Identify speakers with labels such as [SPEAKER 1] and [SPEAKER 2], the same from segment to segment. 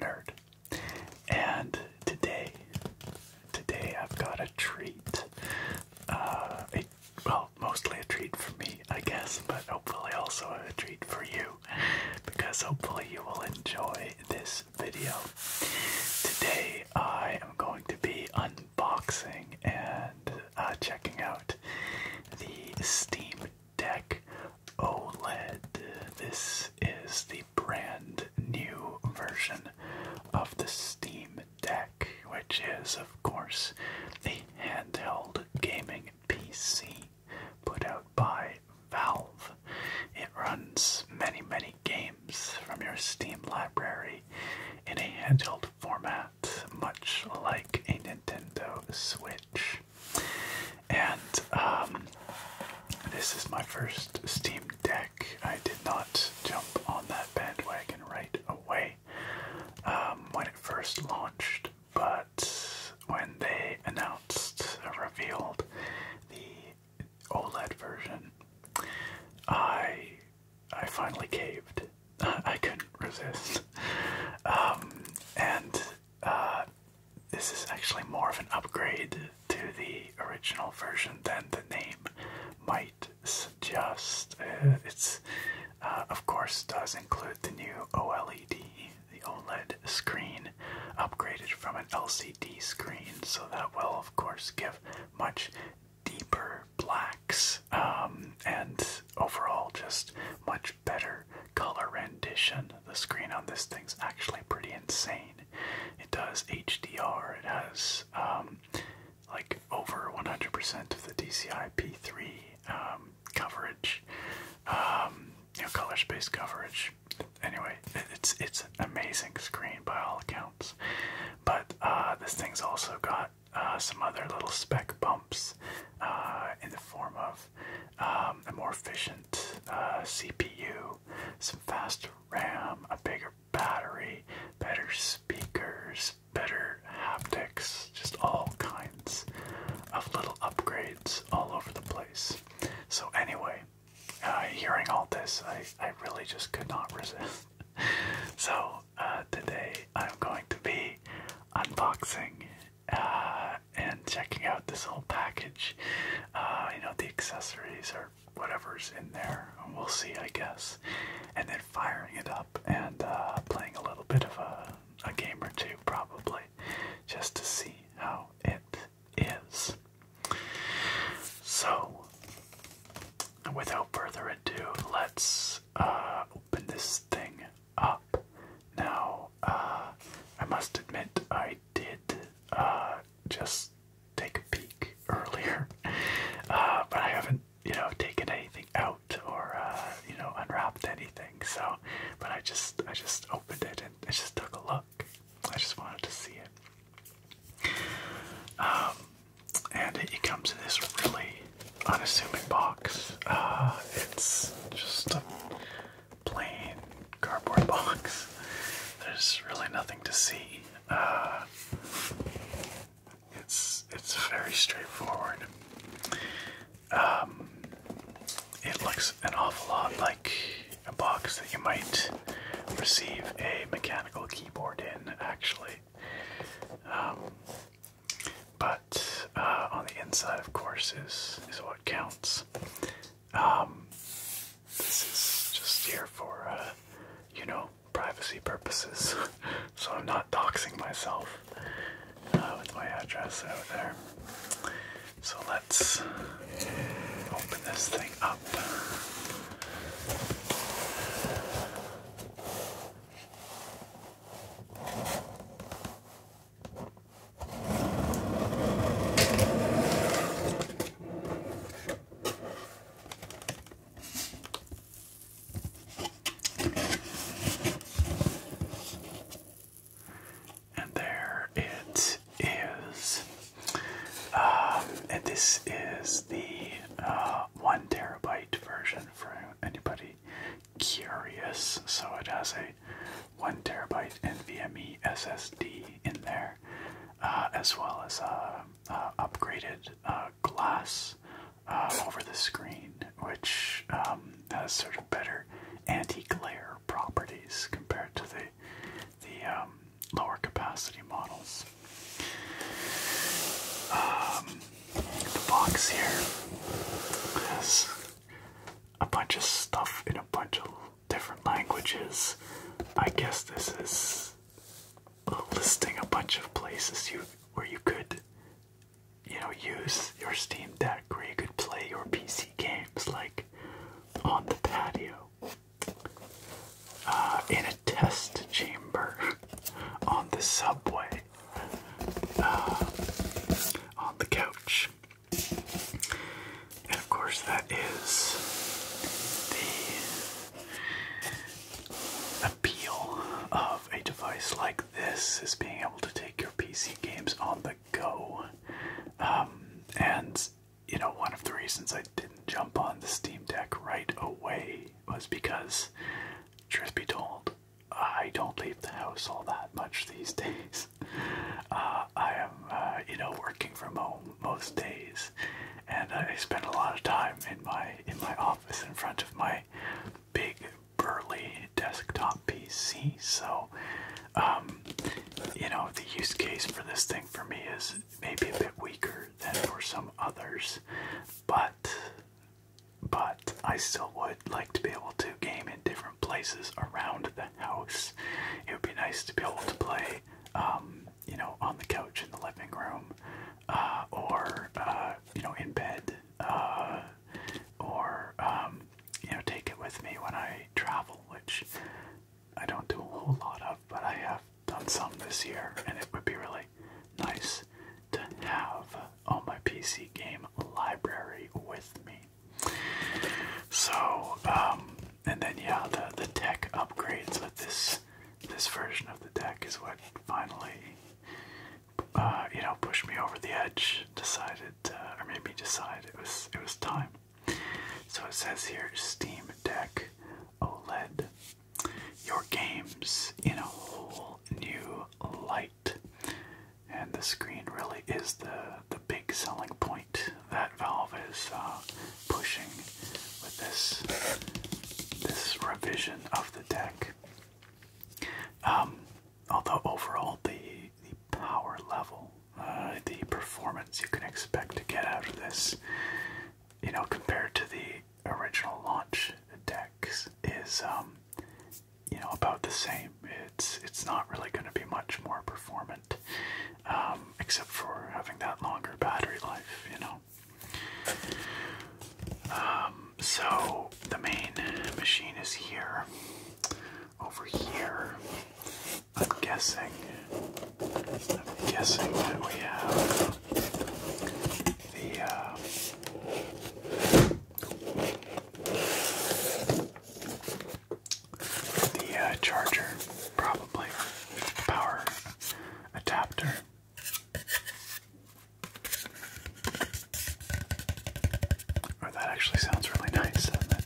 [SPEAKER 1] nerd. And today, today I've got a treat. Uh, well, mostly a treat for me, I guess, but hopefully also a treat for you, because hopefully you will enjoy this video. Today I am going to be unboxing and uh, checking out the Steam deck OLED. This is the brand new version of the Steam Deck, which is, of course, the handheld gaming PC put out by Valve. It runs many, many games from your Steam library in a handheld format, much like a Nintendo Switch. And um, this is my first Steam Deck. I did not jump on that bandwagon right away um, when it first launched, but when they announced, uh, revealed the OLED version, I I finally caved. I couldn't resist. Um, and uh, this is actually more of an upgrade to the original version than the name might suggest. Uh, it's, uh, of course, does include the new OLED, the OLED screen, upgraded from an LCD screen, so that will, of course, give much deeper blacks um, and overall just much better color rendition the screen on this thing's actually pretty insane. It does HDR. It has um, like over 100% of the DCI-P3 um, coverage, um, you know, color space coverage. Anyway, it's it's an amazing screen by all accounts. But uh, this thing's also got uh, some other little spec bumps uh, in the form of um, a more efficient uh, CPU, some faster RAM, a bigger battery, better speakers, better haptics, just all kinds of little upgrades all over the place. So, anyway, uh, hearing all this, I, I really just could not resist. so, uh, today I'm going to be unboxing uh, and checking out this whole package. Uh, you know, the accessories or whatever's in there. We'll see, I guess. And then firing it up and uh, playing a little bit of a, a game or two, probably, just to see how it is. So, without further ado, let's open this thing up. Now, uh, I must admit, I did uh, just take a peek earlier, uh, but I haven't, you know, taken anything out or, you know, unwrapped anything. So, but I just, I just opened it and I just took a look. I just wanted to see it. Um, and it, comes in this really unassuming box. it's just a plain cardboard box. There's really nothing to see. Uh, it's it's very straightforward. Um, it looks an awful lot like a box that you might receive a mechanical keyboard in, actually. Um, but uh, on the inside, of course, is is what counts. Um, this is just here for, uh, you know, privacy purposes. so I'm not doxing myself uh, with my address out there. So let's open this thing up. And there it is. Um, and this is the uh, one terabyte version for anybody curious. So it has a one terabyte NVMe SSD in there, uh, as well as uh, uh upgraded uh, glass um, over the screen, which um, has sort of better anti-glare properties compared to the the um, lower capacity models. the box here has a bunch of stuff in a bunch of different languages. I guess this is listing a bunch of places you where you could, you know, use your Steam Deck, where you could play your PC games, like on the patio, uh, in a test chamber, on the subway, uh, on the couch. And of course, that is the appeal of a device like this is being able to take your PC games on the go. Um, and you know, one of the reasons I didn't jump on the Steam Deck right away was because, truth be told, I don't leave the house all that much these days days. Uh, I am, uh, you know, working from home most days, and I spend a lot of time in my in my office in front of my big burly desktop PC. So, um, you know, the use case for this thing for me is maybe a bit weaker than for some others, but but I still would like to be able to game different places around the house. It would be nice to be able to play, um, you know, on the couch in the living room, uh, or uh, you know, in bed, uh, or um, you know, take it with me when I travel, which I don't do a whole lot of, but I have done some this year, and it would be really nice to have all my PC game library with me. So, um, and then yeah, the the tech upgrades with this this version of the deck is what finally, uh, you know, pushed me over the edge. Decided, uh, or made me decide it was it was time. So it says here, Steam Deck OLED, your games in a whole new light, and the screen really is the the big selling point that Valve is uh, pushing with this this revision of the deck. Um, although overall the the power level, uh, the performance you can expect to get out of this, you know, compared to the original launch decks, is um, you know about the same. It's it's not really going to be much more performant. Um, except for having that longer battery life, you know. Um, so the main machine is here. Over here, I'm guessing. I'm guessing that we have the. Uh, the uh, charger, probably power adapter. Or oh, that actually sounds really nice, doesn't it?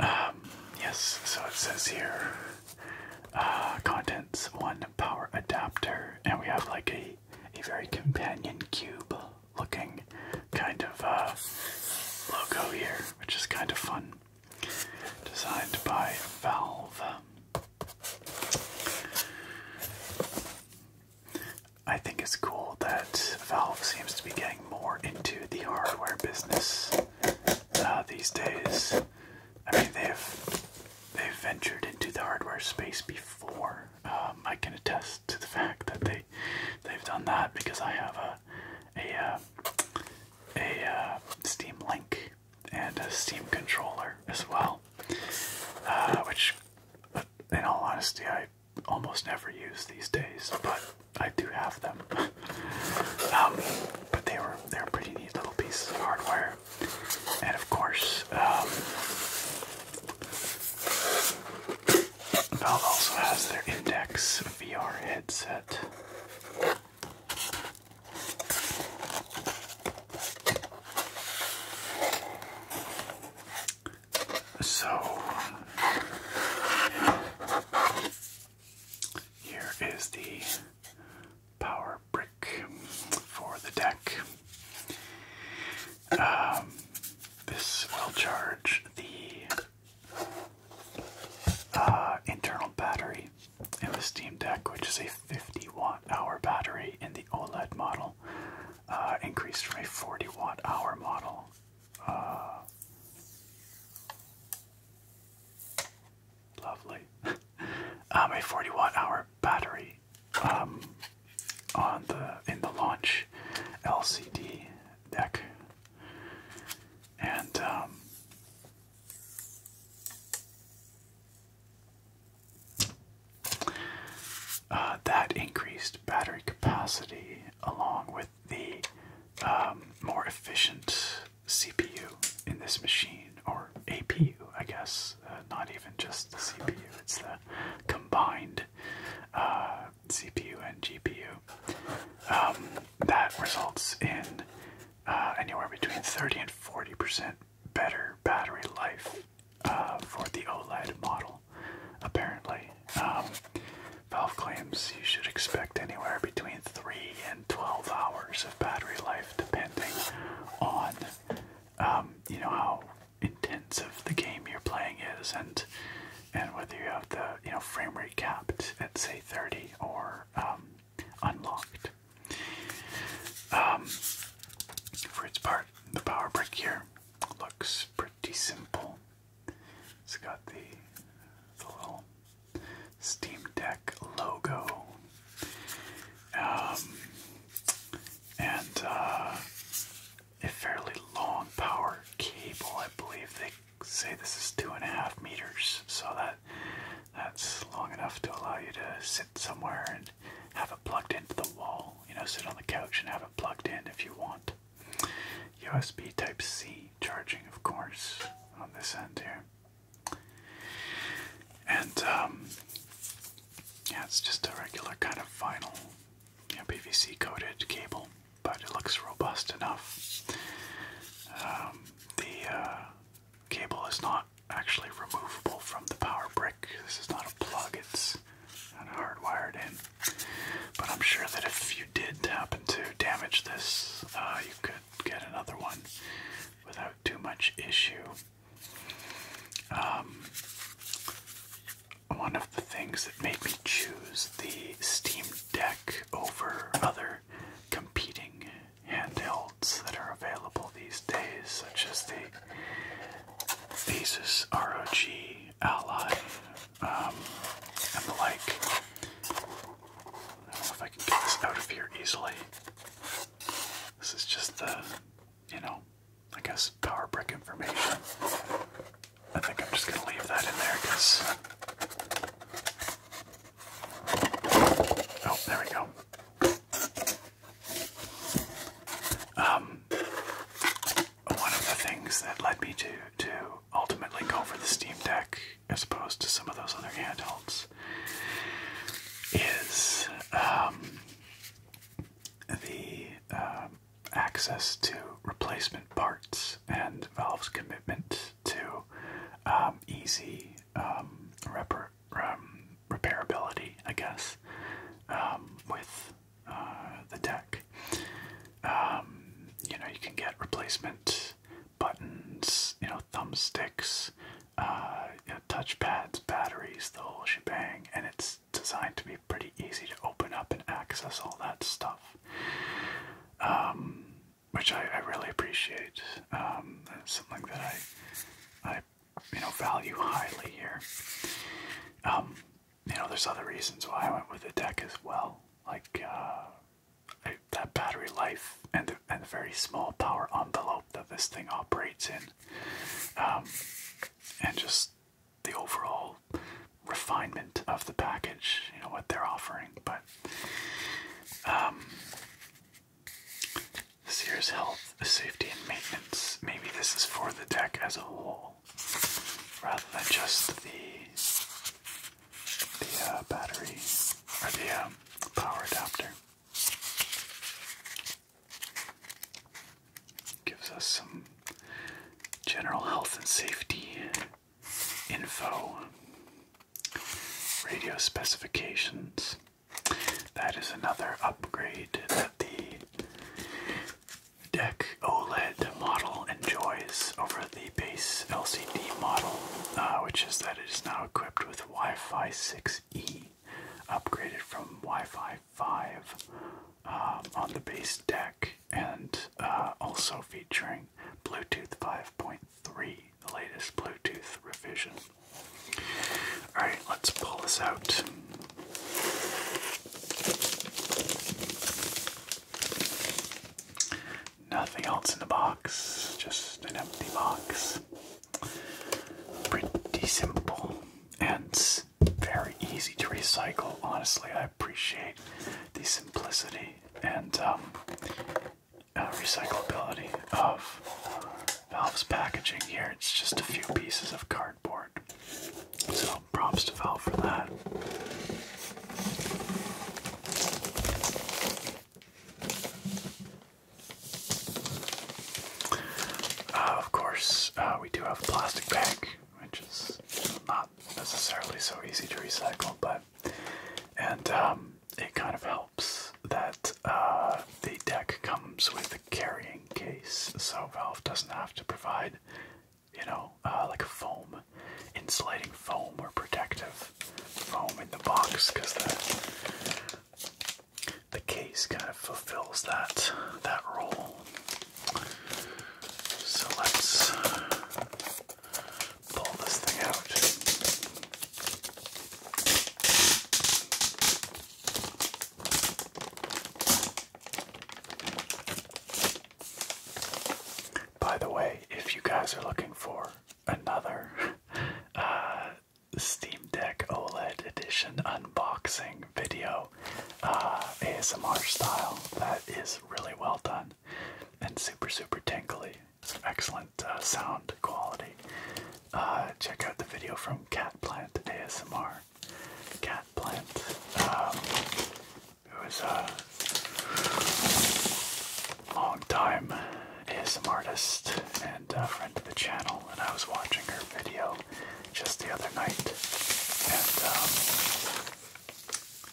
[SPEAKER 1] Um, yes, so it says here uh, contents one power adapter, and we have like a, a very companion cube looking kind of uh, logo here, which is kind of fun. Designed by Valve. I think it's cool that Valve seems to be getting more into the hardware business uh, these days. I mean, they've they've ventured into the hardware space before. Um, I can attest to the fact that they they've done that because I have a a uh, a, uh, Steam Link and a Steam controller as well, which. In all honesty, I almost never use these days, but I do have them. Um, but they were they're pretty neat little pieces of hardware, and of course, um, Valve also has their Index VR headset. So here is the power brick for the deck. Um, this will charge the uh, internal battery in the Steam Deck, which is a 50 watt hour battery in the OLED model. Uh, increased from a 40 watt hour model. Uh, lovely. Um, a 40 watt hour battery um, on the in the launch LCD deck, and um, uh, that increased battery capacity along with the um, more efficient CPU in this machine, or APU, I guess, uh, not even just the CPU, it's the combined uh, CPU and GPU. Um, that results in anywhere between 30 and 40% better battery life uh, for the OLED model, apparently. Um, valve claims you should expect anywhere between 3 and 12 hours of battery life, depending on um, you know how intensive the game you're playing is, and and whether you have the you know frame rate capped at say 30 or um, unlocked. for its part, the power brick here looks pretty simple. It's got the, little Steam Deck logo. Um, and uh, a fairly long power cable. I believe they say this is two and a half meters, so that that's long enough to allow you to sit somewhere and have it plugged into the wall. You know, sit on the couch and have it plugged in if you want. USB Type C charging, of course, on this end here. And um, yeah, it's just a regular kind of vinyl, you PVC coated cable, but it looks robust enough. Um, the uh, cable is not actually removable from the power brick. This is not a plug, it's hardwired in. But I'm sure that if you did happen to damage this, uh, you could get another one without too much issue. Um, one of the things that made me choose the Steam Deck over other competing handhelds that are available these days, such as the Asus ROG Ally um, and the like. I don't know if I can get this out of here easily. This is just the, you know, I guess power brick information. I think I'm just going to leave that in there because. Oh, there we go. Um, one of the things that led me to to ultimately go for the Steam Deck as opposed to some of those other handhelds is um, the um, access to replacement parts and Valve's commitment to um, easy repairability, I guess, with the deck. Um, you know, you can get replacement buttons, you know, thumbsticks, uh, touchpads, batteries, the whole shebang, and it's designed to be pretty easy to open up and access all that stuff. Um, which I, really appreciate. Um, something that I, I, you know, value highly here you know, there's other reasons why I went with the deck as well, like uh, that battery life and the, and the very small power envelope that this thing operates in, um, and just the overall refinement of the package, you know, what they're offering. But um, Sears Health, Safety, and Maintenance. Maybe this is for the deck as a whole rather than just the the uh, battery or the um, power adapter. Gives us some general health and safety info, radio specifications. That is another upgrade that the deck OLED model enjoys over the base LCD model, uh, which is that it is now equipped with Wi Fi 6E, upgraded from Wi Fi 5 um, on the base deck, and uh, also featuring Bluetooth 5.3, the latest Bluetooth revision. Alright, let's pull this out. Nothing else in the box, just an empty box. Pretty simple and very easy to recycle. Honestly, I appreciate the simplicity and um, uh, recyclability of Valve's packaging here. It's just a few pieces of cardboard. So props to Valve for that. Uh, of course, uh, we do have a plastic bag, which is not necessarily so easy to recycle, but and um, it kind of helps that uh, the deck comes with a carrying case, so Valve doesn't have to provide you know, uh, like foam, insulating foam or protective foam in the box because the the case kind of fulfills that that role. So let's pull this thing out. By the way, if you guys are looking for another uh, Steam Deck OLED Edition unboxing video, uh, ASMR style, that is really well done and super, super tingly. Excellent uh, sound quality. check out the video from Cat Catplant ASMR. Cat Plant. Um, was a uh, long time an artist and friend to the channel, and I was watching her video just the other night, and um,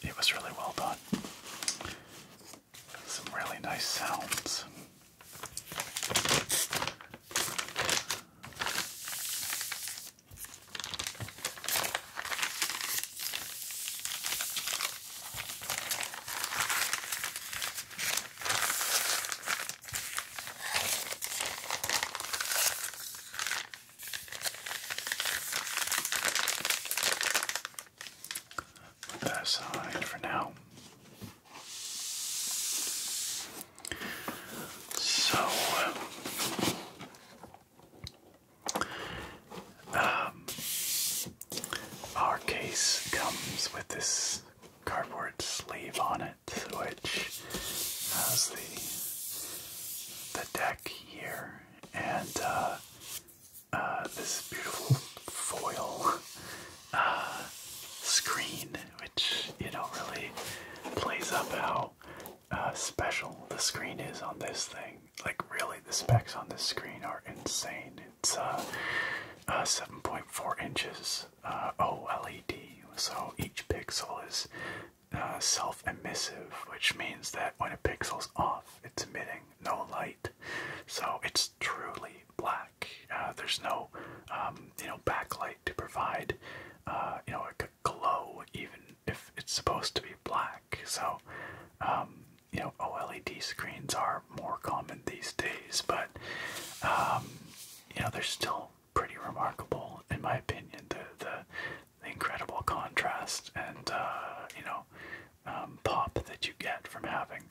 [SPEAKER 1] it was really well done. Some really nice sounds. Put that aside for now. So, um, our case comes with this cardboard sleeve on it, which has the the deck here and uh, uh, this beautiful foil uh, screen, which you know really plays up how uh, special the screen is on this thing. Like really, the specs on this screen are insane. It's a uh, uh, 7.4 inches uh, OLED, so each pixel is self-emissive, which means that when a pixel's off, it's emitting no light. So it's truly black. there's no, um, you know, backlight to provide, you know, a glow even if it's supposed to be black. So, um, you know, OLED screens are more common these days, but um, you know, they're still pretty remarkable in my opinion. The the, incredible contrast and uh, you know um, pop that you get from having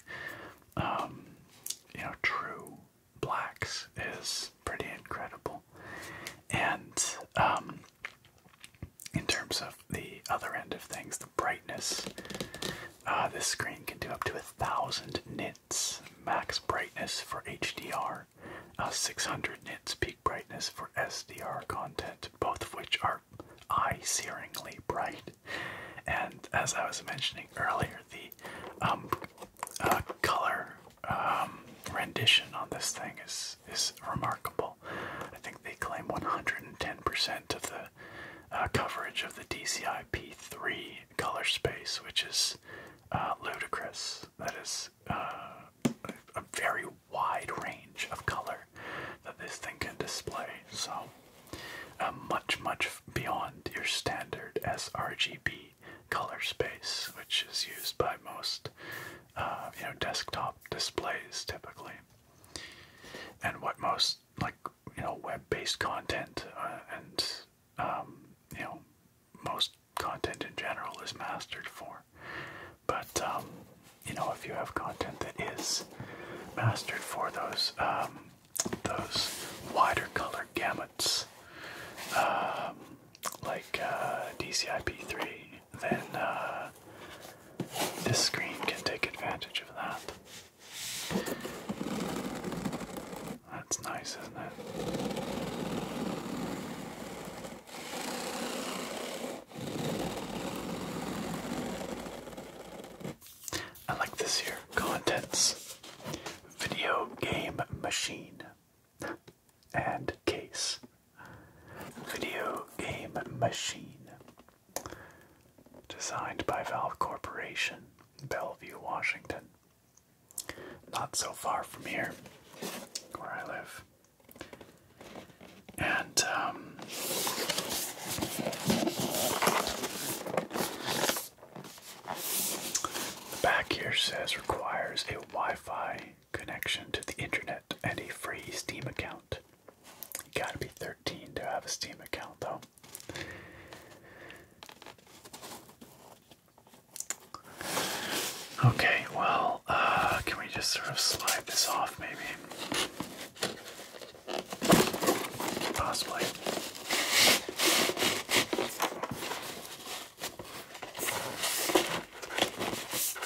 [SPEAKER 1] you know true blacks is pretty incredible. And in terms of the other end of things, the brightness. Uh, this screen can do up to a thousand nits max brightness for HDR, uh, 600 nits peak brightness for SDR content, both of which are eye-searingly bright. And as I was mentioning earlier, the um, uh, color um, rendition on this thing is is remarkable. I think they claim 110% of the uh, coverage of the DCI P3 color space, which is uh, ludicrous. That is uh, a very wide range of color that this thing can display. So, much, much beyond your standard sRGB color space, which is used by most, you know, desktop displays typically and what most like you know web-based content uh, and um, you know most content in general is mastered for. But um, you know if you have content that is mastered for those um, those wider color gamuts like uh, DCI-P3 then uh, this screen can take advantage of that. That's nice, isn't it? I like this here. Contents. Video game machine. And case video game machine designed by Valve Corporation, Bellevue, Washington. Not so far from here, where I live. And, um, the back here says requires a Wi Fi connection to the internet internet and a free Steam account. You gotta be 13 to have a Steam account, though. Okay, well, uh, can we just sort of slide this off, maybe? Possibly.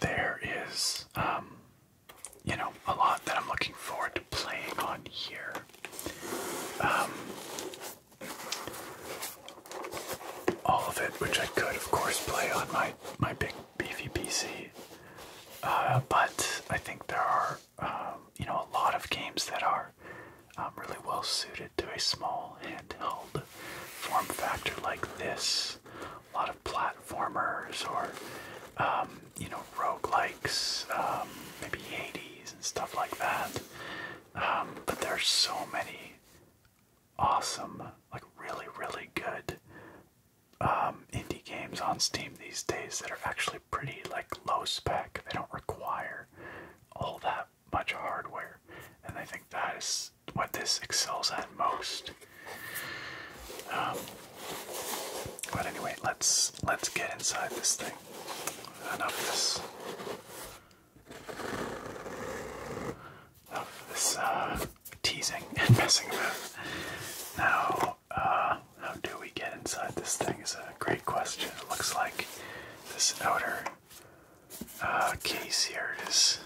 [SPEAKER 1] there is, um, you know, a lot that I'm looking forward to playing on here. Um, all of it, which I could, of course, play on my my big beefy uh, but I think there are, um, you know, a lot of games that are really well suited to a small handheld form factor like this. A lot of platformers or, um, you know, roguelikes, um, maybe Hades and stuff like that. Um, but there's so many awesome, like really, really good um, indie games on Steam these days that are actually pretty like low spec. They don't require all that much hardware. And I think that is what this excels at most. Um, but anyway, let's let's get inside this thing. Enough of this. Enough of this uh, teasing and messing about. Now, uh, how do we get inside this thing? Is a great question. It looks like this outer uh, case here is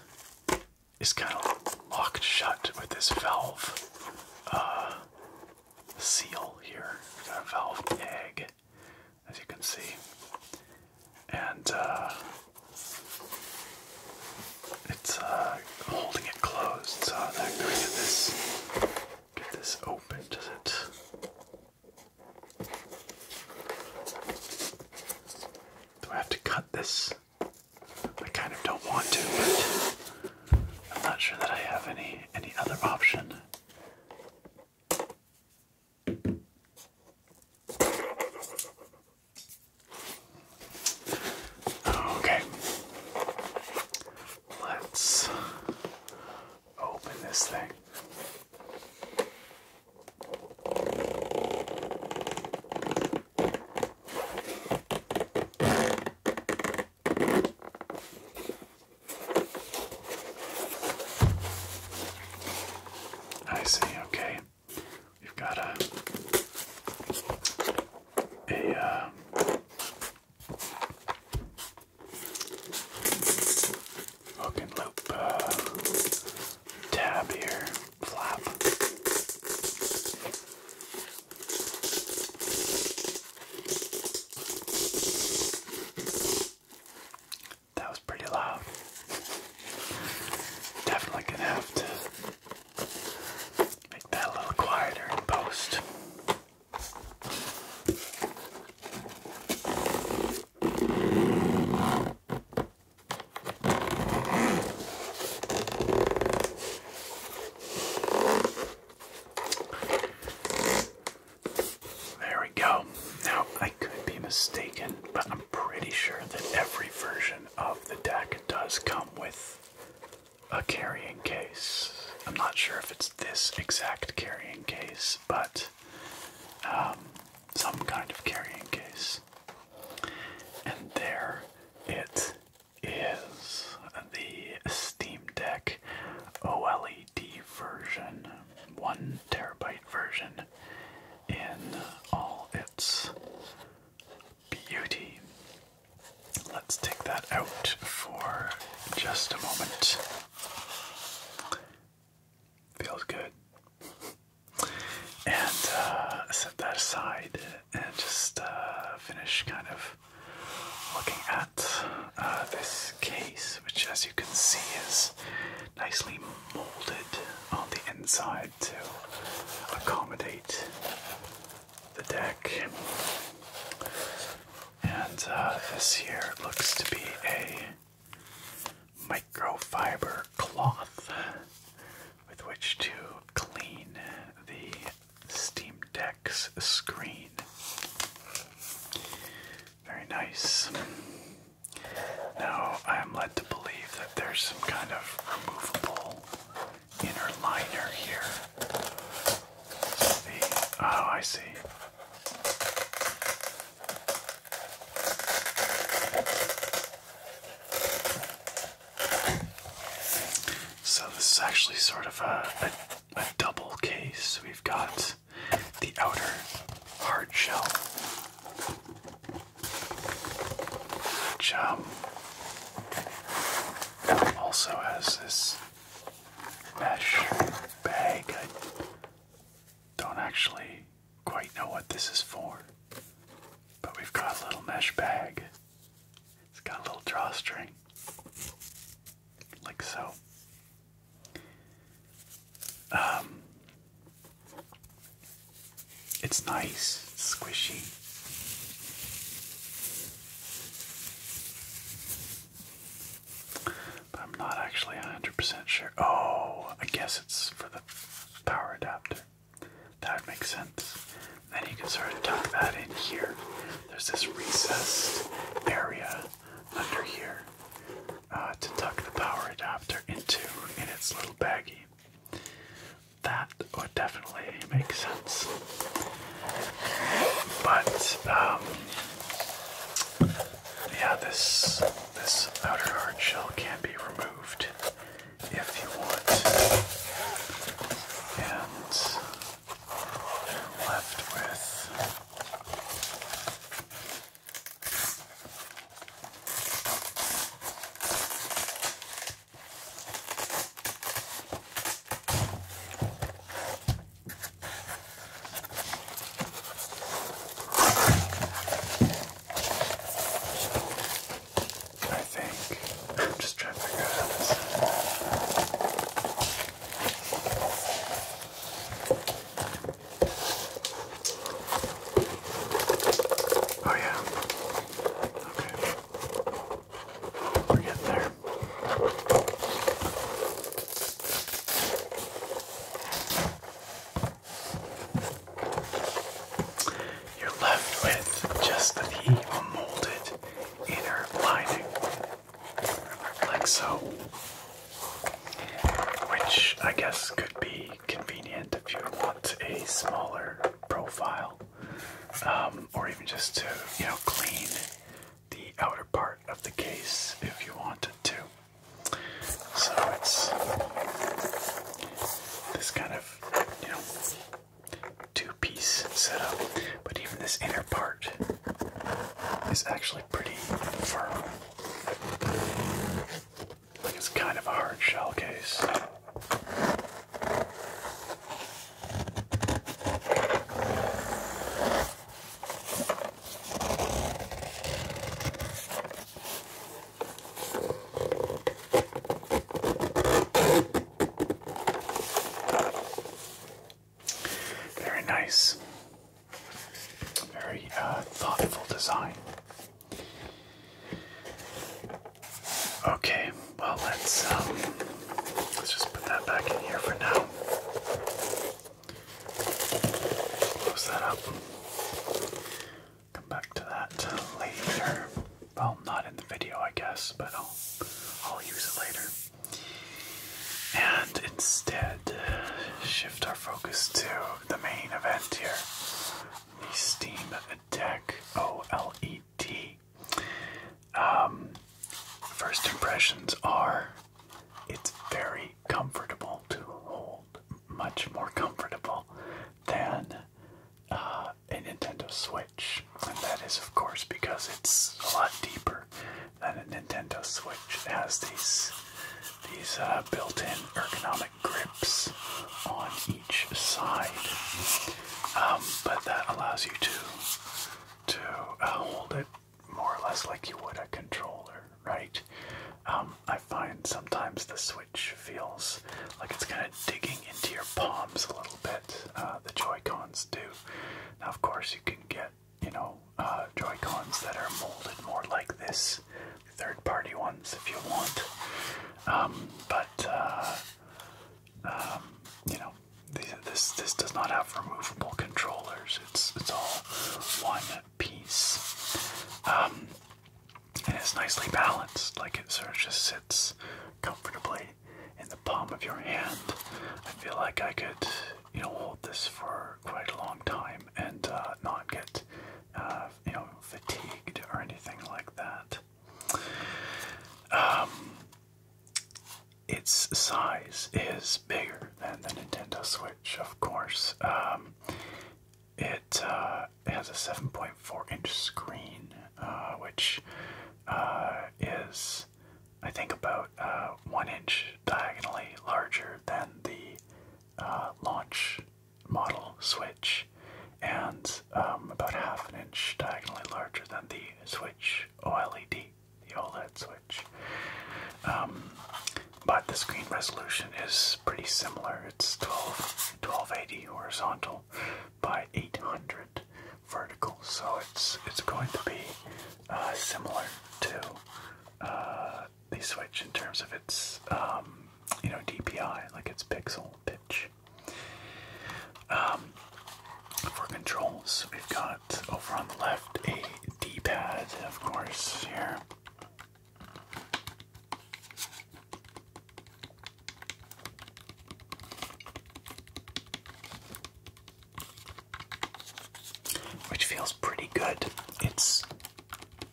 [SPEAKER 1] is kind of locked shut with this valve uh, seal here. valve egg, as you can see, and uh, it's uh, holding it closed. So I'm going to get this get this open. Does it? Do I have to cut this? I kind of don't want to, but I'm not sure that I have any any other option. Okay. Let's open this thing. I see, okay. We've got a a uh, loop uh, tab here, flap. That was pretty loud. Definitely gonna have to make that a little quieter in post. There we go. Now, I could be mistaken, but I'm pretty sure that every version of the deck does come with a carrying case. I'm not sure if it's this exact carrying case, but um, some kind of carrying case. And there it is the Steam Deck OLED version, 1 terabyte version, in all its beauty. Let's take that out for just a moment. Feels good and uh, set that aside and just uh, finish kind of looking at uh, this case, which, as you can see, is nicely molded on the inside to accommodate the deck. And this here looks to be a. Mic Grow fiber cloth with which to clean the Steam Deck's screen. Very nice. Now I'm led to believe that there's some kind of removable inner liner here. oh, I see. So this is actually sort of a, double case. We've got the outer hard shell, which um, also has this mesh bag. I don't actually quite know what this is for, but we've got a little mesh bag. It's got a little drawstring, like so. Um, it's nice, squishy. But I'm not actually 100% sure. Oh, I guess it's for the power adapter. That would make sense. Then you can sort of tuck that in here. There's this recessed area under here uh, to tuck the power adapter into in its little baggie. That would definitely make sense. But um, yeah, this this outer hard shell can not be removed if you want, And left with I think. I'm just trying to figure out how this. Oh, yeah. Okay. We're getting there. You're left with just that he inner lining, like so. Which I guess could be convenient if you want a smaller profile, um, or even just to you know clean the outer part of the case if you wanted to. So it's this kind of you know, two-piece setup, but even this inner part is actually pretty firm. Like it's kind of a hard shell case. Very nice. Very uh, thoughtful design. Okay, well let's um, let's just put that back in here for now. Close that up. Come back to that later. Well, not in the video, I guess, but I'll, I'll use it later. And instead, shift our focus to the main event here the Steam Deck OLED. Um, first impressions are it's very comfortable to hold, much more comfortable than uh, a Nintendo Switch. And that is, of course, because it's a lot deeper than a Nintendo Switch. has these these uh, built-in ergonomic grips on each side, um, but that allows you to to uh, hold it more or less like you would a controller, right? Um, I find sometimes the Switch feels like it's going digging into your palms a little bit. Uh, the Joycons do. Now, of course, you can get you know uh, Joycons that are molded more like this, third-party ones if you want. Um, but uh, um, you know, this this does not have removable controllers. It's it's all one piece. Um, and it's nicely balanced, like it sort of just sits comfortably in the palm of your hand. I feel like I could, you know, hold this for quite a long time and uh, not get, uh, you know, fatigued or anything like that. Um, its size is bigger than the Nintendo Switch, of course. Um, it uh, uh, it has a 7.4 inch screen, uh, which uh, is, I think, about one inch diagonally larger than the launch model Switch, and um, about half an inch diagonally larger than the Switch OLED, the OLED Switch. Um, but the screen resolution is pretty similar. It's 12, 1280 horizontal by 800 vertical, so it's it's going to be uh, similar to uh, the Switch in terms of its um, you know DPI, like its pixel pitch. Um, for controls, we've got over on the left a D-pad, of course, here. Which feels pretty good. It's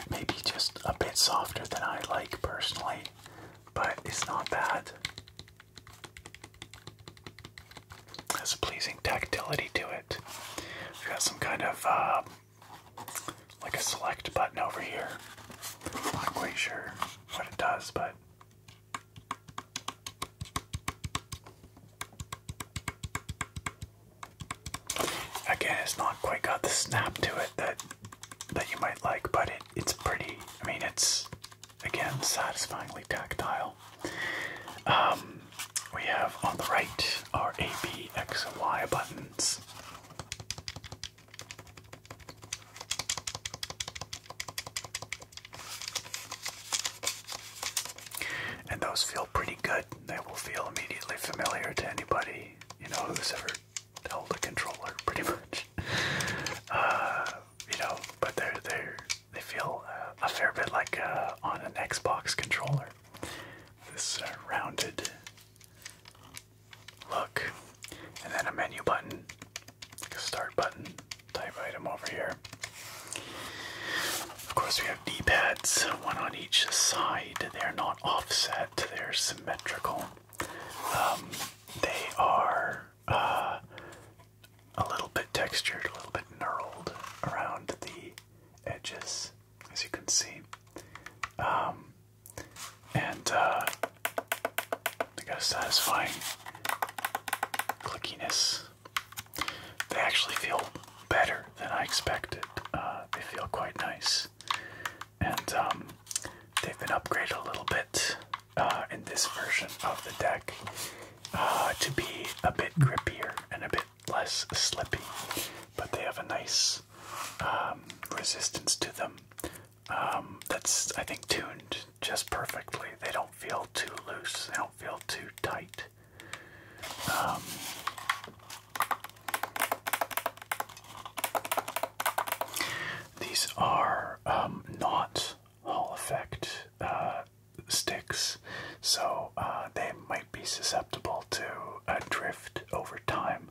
[SPEAKER 1] maybe just a bit softer than I like personally, but it's not bad. Has a pleasing tactility to it. We've got some kind of uh, like a select button over here. I'm Not quite sure what it does, but Again, it's not quite got the snap to it that that you might like, but it, it's pretty. I mean, it's again satisfyingly tactile. Um, we have on the right our A, B, X, and Y buttons. And those feel pretty good. They will feel immediately familiar to anybody, you know, who's ever held a controller, pretty much. Uh, you know, but they're, they're, they feel uh, a fair bit like uh, on an Xbox controller. This uh, rounded look. And then a menu button a start button type item over here. Of course, we have D-pads, one on each side. They're not offset, they're symmetrical. Um, they are uh, a little bit textured, a little bit knurled around the edges, as you can see. Um, and uh, they got a satisfying clickiness. They actually feel better than I expected. Uh, they feel quite nice. And um, they've been upgraded a little bit uh, in this version of the deck uh, to be a bit grippier and a bit less slippy. But they have a nice um, resistance to them um, that's, I think, tuned just perfectly. They don't feel too loose. They don't feel too tight. Um, these are um, not Hall effect uh, sticks, so uh, they might be susceptible to uh, drift over time.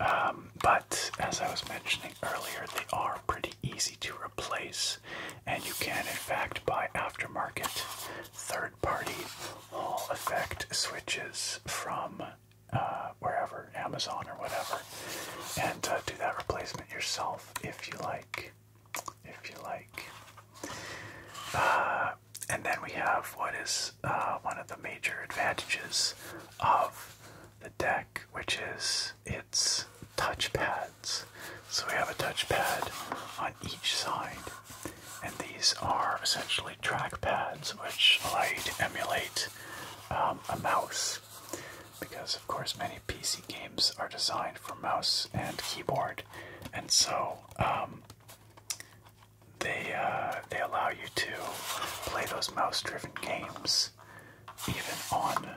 [SPEAKER 1] Um, but but as I was mentioning earlier, they are pretty easy to replace, and you can, in fact, buy aftermarket third party Hall effect switches from uh, wherever, Amazon or whatever, and uh, do that replacement yourself if you like. If you like. Uh, and then we have what is one of the major advantages of the deck, which is its touchpads. So we have a touchpad on each side, and these are essentially trackpads, which allow you to emulate um, a mouse. Because, of course, many PC games are designed for mouse and keyboard, and so um, they uh, they allow you to play those mouse-driven games even on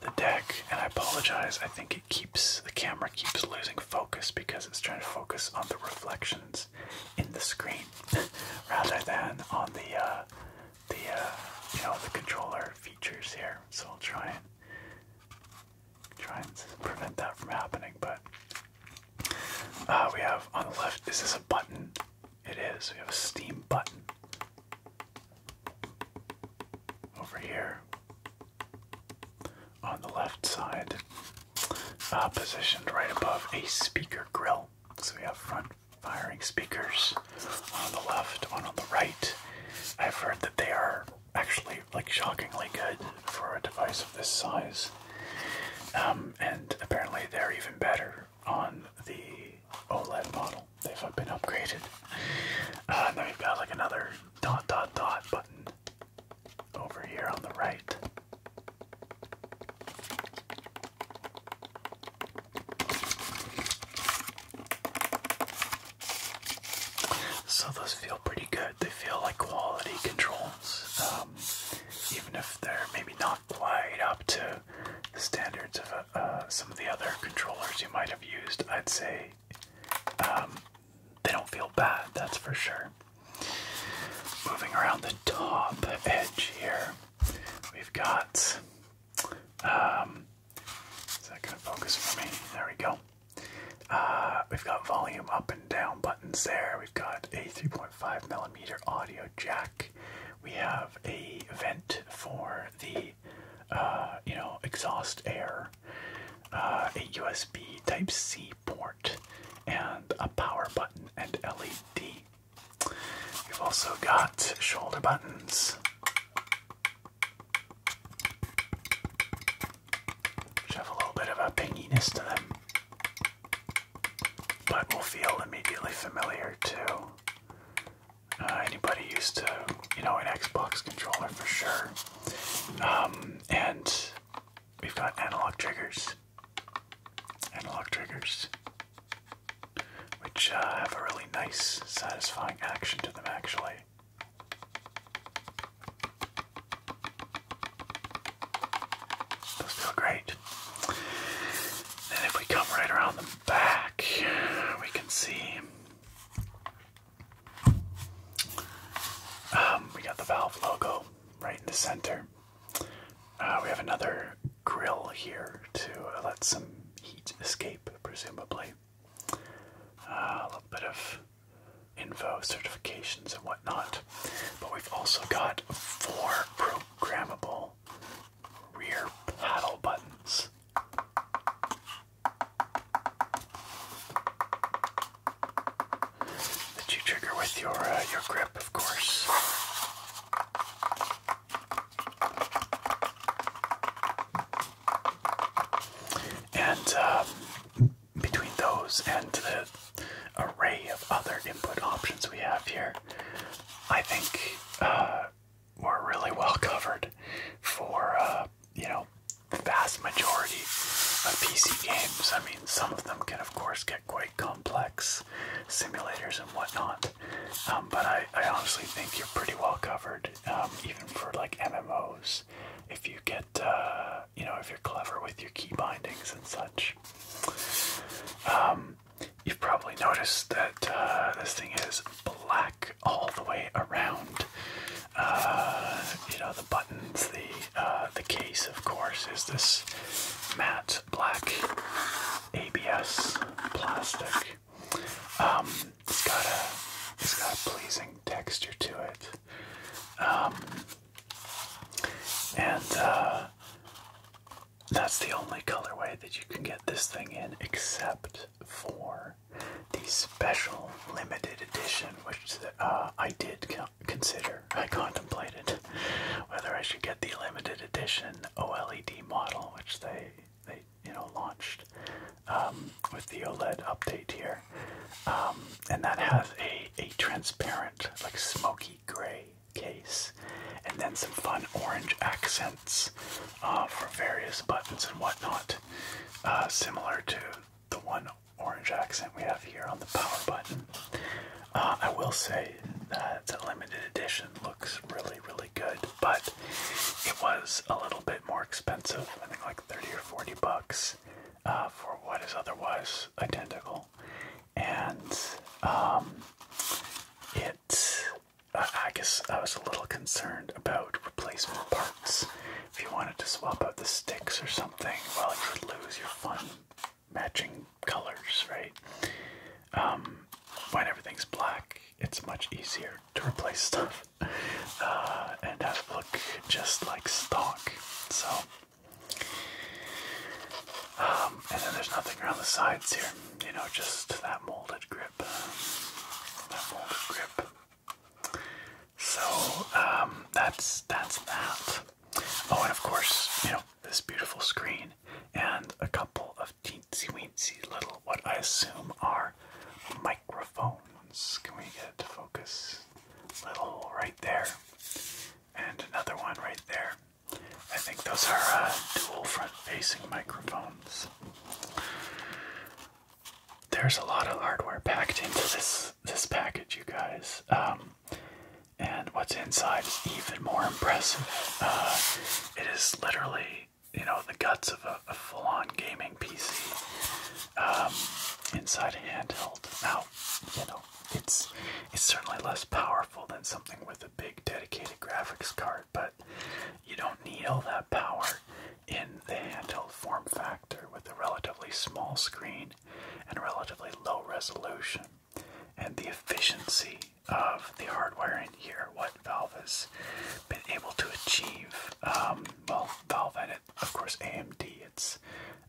[SPEAKER 1] the deck, and I apologize. I think it keeps the camera keeps losing focus because it's trying to focus on the reflections in the screen rather than on the uh, the uh, you know the controller features here. So I'll try and try and prevent that from happening. But uh, we have on the left. Is this a button? It is. We have a Steam button over here on the left side, uh, positioned right above a speaker grill. So we have front firing speakers on the left, one on the right. I've heard that they are actually like shockingly good for a device of this size. Um, and apparently they're even better on the OLED model. They've been upgraded. Uh, and then we've got like another dot dot dot button over here on the right. So those feel pretty good. They feel like quality controls, um, even if they're maybe not quite up to the standards of uh, some of the other controllers you might have used, I'd say um, they don't feel bad, that's for sure. Moving around the top edge here, we've got. Um, focus for me? There we go. Uh, we've got volume up and down buttons there. We've got a 3.5 millimeter audio jack. We have a vent for the uh, you know exhaust air, uh, a USB Type C port, and a power button and LED. You've also got shoulder buttons. Which have a little bit of a pinginess to them, but will feel immediately familiar too. Uh, anybody used to, you know, an Xbox controller for sure. Um, and we've got analog triggers. Analog triggers. Which uh, have a really nice, satisfying action to them, actually. Those great. And if we come right around the back, we can see um, we got the Valve logo right in the center. Uh, we have another grill here to let some heat escape, presumably. Uh, a little bit of info, certifications, and whatnot. But we've also got four programmable rear paddle buttons. That you trigger with your uh, your grip, of course. And uh, between those and the array of other input options we have here, I think uh, were really well covered for uh, you know the vast majority of PC games. I mean, some of them can of course get quite complex, simulators and whatnot. Um, but I, I honestly think you're pretty well covered, um, even for like MMOs. If you get, uh, you know, if you're clever with your key bindings and such. Um, you've probably noticed that uh, this thing is black all the way around. Uh, you know the buttons, the uh, the case, of course, is this matte black ABS plastic. Um, it's got a it's got pleasing texture to it. Um, and uh, that's the only colorway that you can get this thing in, except for the special limited edition, which uh, I did consider, I contemplated whether I should get the limited edition OLED model, which they they you know launched um, with the OLED update here, um, and that has a a transparent like smoky gray case, and then some fun orange accents uh, for various buttons and whatnot, uh, similar to the one orange accent we have here on the power button. Uh, I will say that the limited edition looks really, really good, but it was a little bit more expensive. I think like 30 or 40 bucks for what is otherwise identical. And um, it uh, I guess I was a little concerned about replacement parts. If you wanted to swap out the sticks or something, well, you would lose your fun matching colors, right? Um, when everything's black, it's much easier to replace stuff uh, and that look just like stock. So, um, and then there's nothing around the sides here, you know, just that molded grip. That will grip. So um, that's that's that. Oh, and of course, you know this beautiful screen and a couple of teensy weensy little what I assume are microphones. Can we get it focus? Little right there, and another one right there. I think those are uh, dual front-facing microphones there's a lot of hardware packed into this this package, you guys. Um, and what's inside is even more impressive. Uh, it is literally, you know, the guts of a, full-on gaming PC um, inside a handheld. Now, you know, it's it's certainly less powerful than something with a big dedicated graphics card, but you don't need all that power in the handheld form factor with a relatively small screen and relatively low resolution. And the efficiency of the hardware in here, what Valve has been able to achieve. Um, well, Valve and it, of course, AMD, its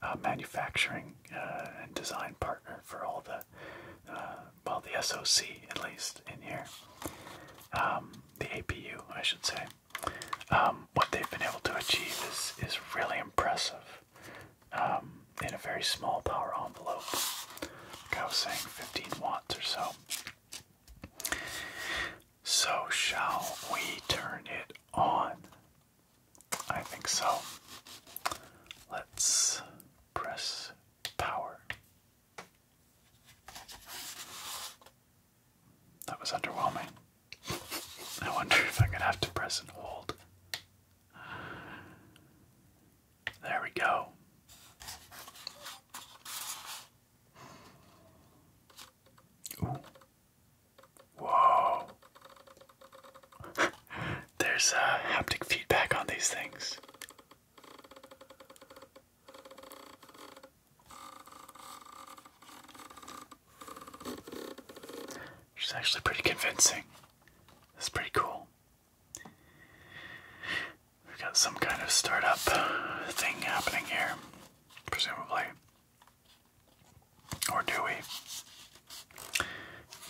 [SPEAKER 1] uh, manufacturing uh, and design partner for all the, uh, well, the SoC at least in here. Um, the APU, I should say. Um, what they've been able to achieve is is really impressive um, in a very small power envelope. I was saying, 15 watts or so. So shall we turn it on? I think so. Let's press power. That was underwhelming. I wonder if I'm gonna have to press and hold. There we go. Ooh. Whoa. There's a uh, haptic feedback on these things. Which actually pretty convincing. That's pretty cool. We've got some kind of startup thing happening here, presumably. Or do we?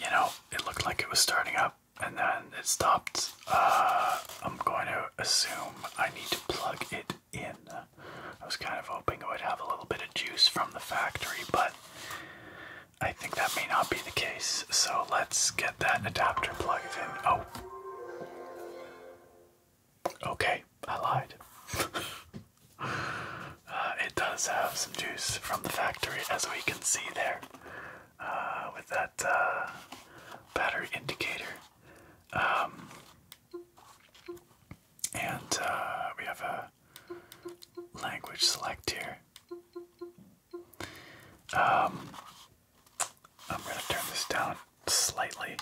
[SPEAKER 1] You know, it looked like it was starting up and then it stopped. Uh, I'm going to assume I need to plug it in. I was kind of hoping it would have a little bit of juice from the factory, but I think that may not be the case. So let's get that adapter plugged in. Oh. Okay, I lied. Uh, it does have some juice from the factory, as we can see there, uh, with that uh, battery indicator. Um, and uh, we have a language select here. Um, I'm going to turn this down slightly.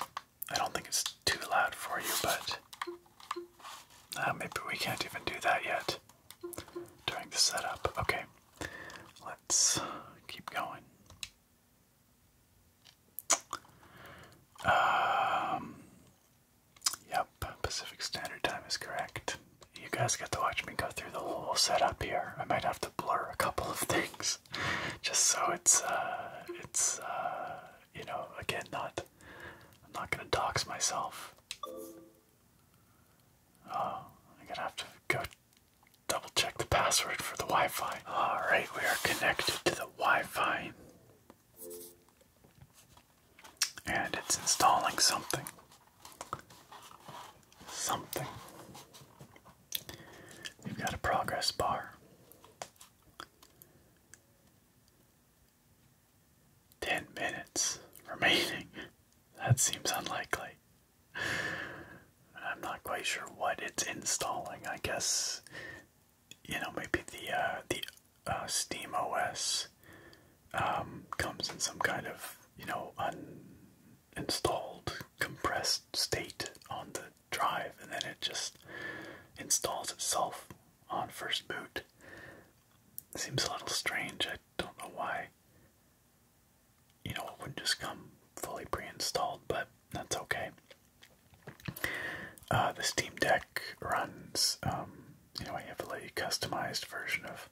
[SPEAKER 1] I don't think it's too loud for you, but uh, maybe we can't even do that yet during the setup. Okay, let's keep going. Um, yep, Pacific Standard Time is correct. You guys get to watch me go through the whole setup here. I might have to blur a couple of things, just so it's uh, it's uh, you know, again, not I'm not gonna dox myself. Oh, I'm gonna have to go double check the password for the Wi Fi. Alright, we are connected to the Wi Fi. And it's installing something. Something. we have got a progress bar. 10 minutes remaining. That seems unlikely. I'm not quite sure what it's installing. I guess you know maybe the uh, the uh, Steam OS um, comes in some kind of you know uninstalled compressed state on the drive, and then it just installs itself on first boot. Seems a little strange. I don't know why. You know, it wouldn't just come fully pre-installed, but that's okay. Uh, the Steam Deck runs, um, you know, a heavily customized version of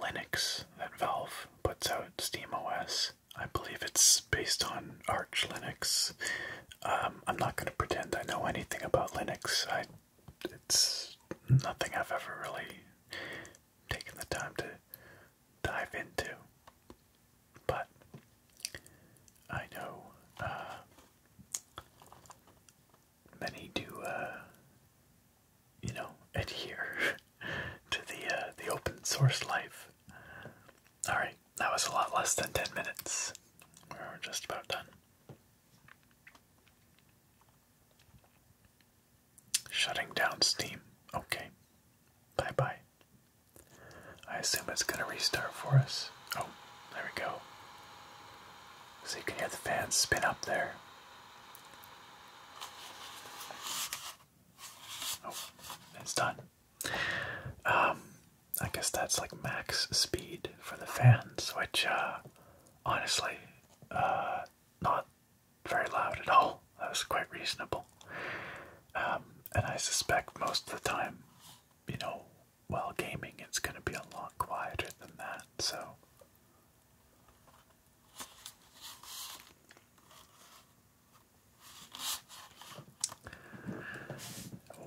[SPEAKER 1] Linux that Valve puts out, Steam OS. I believe it's based on Arch Linux. Um, I'm not going to pretend I know anything about Linux. I, it's nothing I've ever really taken the time to dive into. But I know uh, many do, uh, you know, adhere to the uh, the open source life. All right, that was a lot less than ten minutes. We're just about done. Shutting down Steam. Okay. Bye bye. I assume it's gonna restart for us. Oh, there we go. So you can hear the fans spin up there. Oh, it's done. Um, I guess that's like max speed for the fans, which, uh, honestly, uh, not very loud at all. That was quite reasonable. Um, and I suspect most of the time, you know, while gaming, it's going to be a lot quieter than that. So,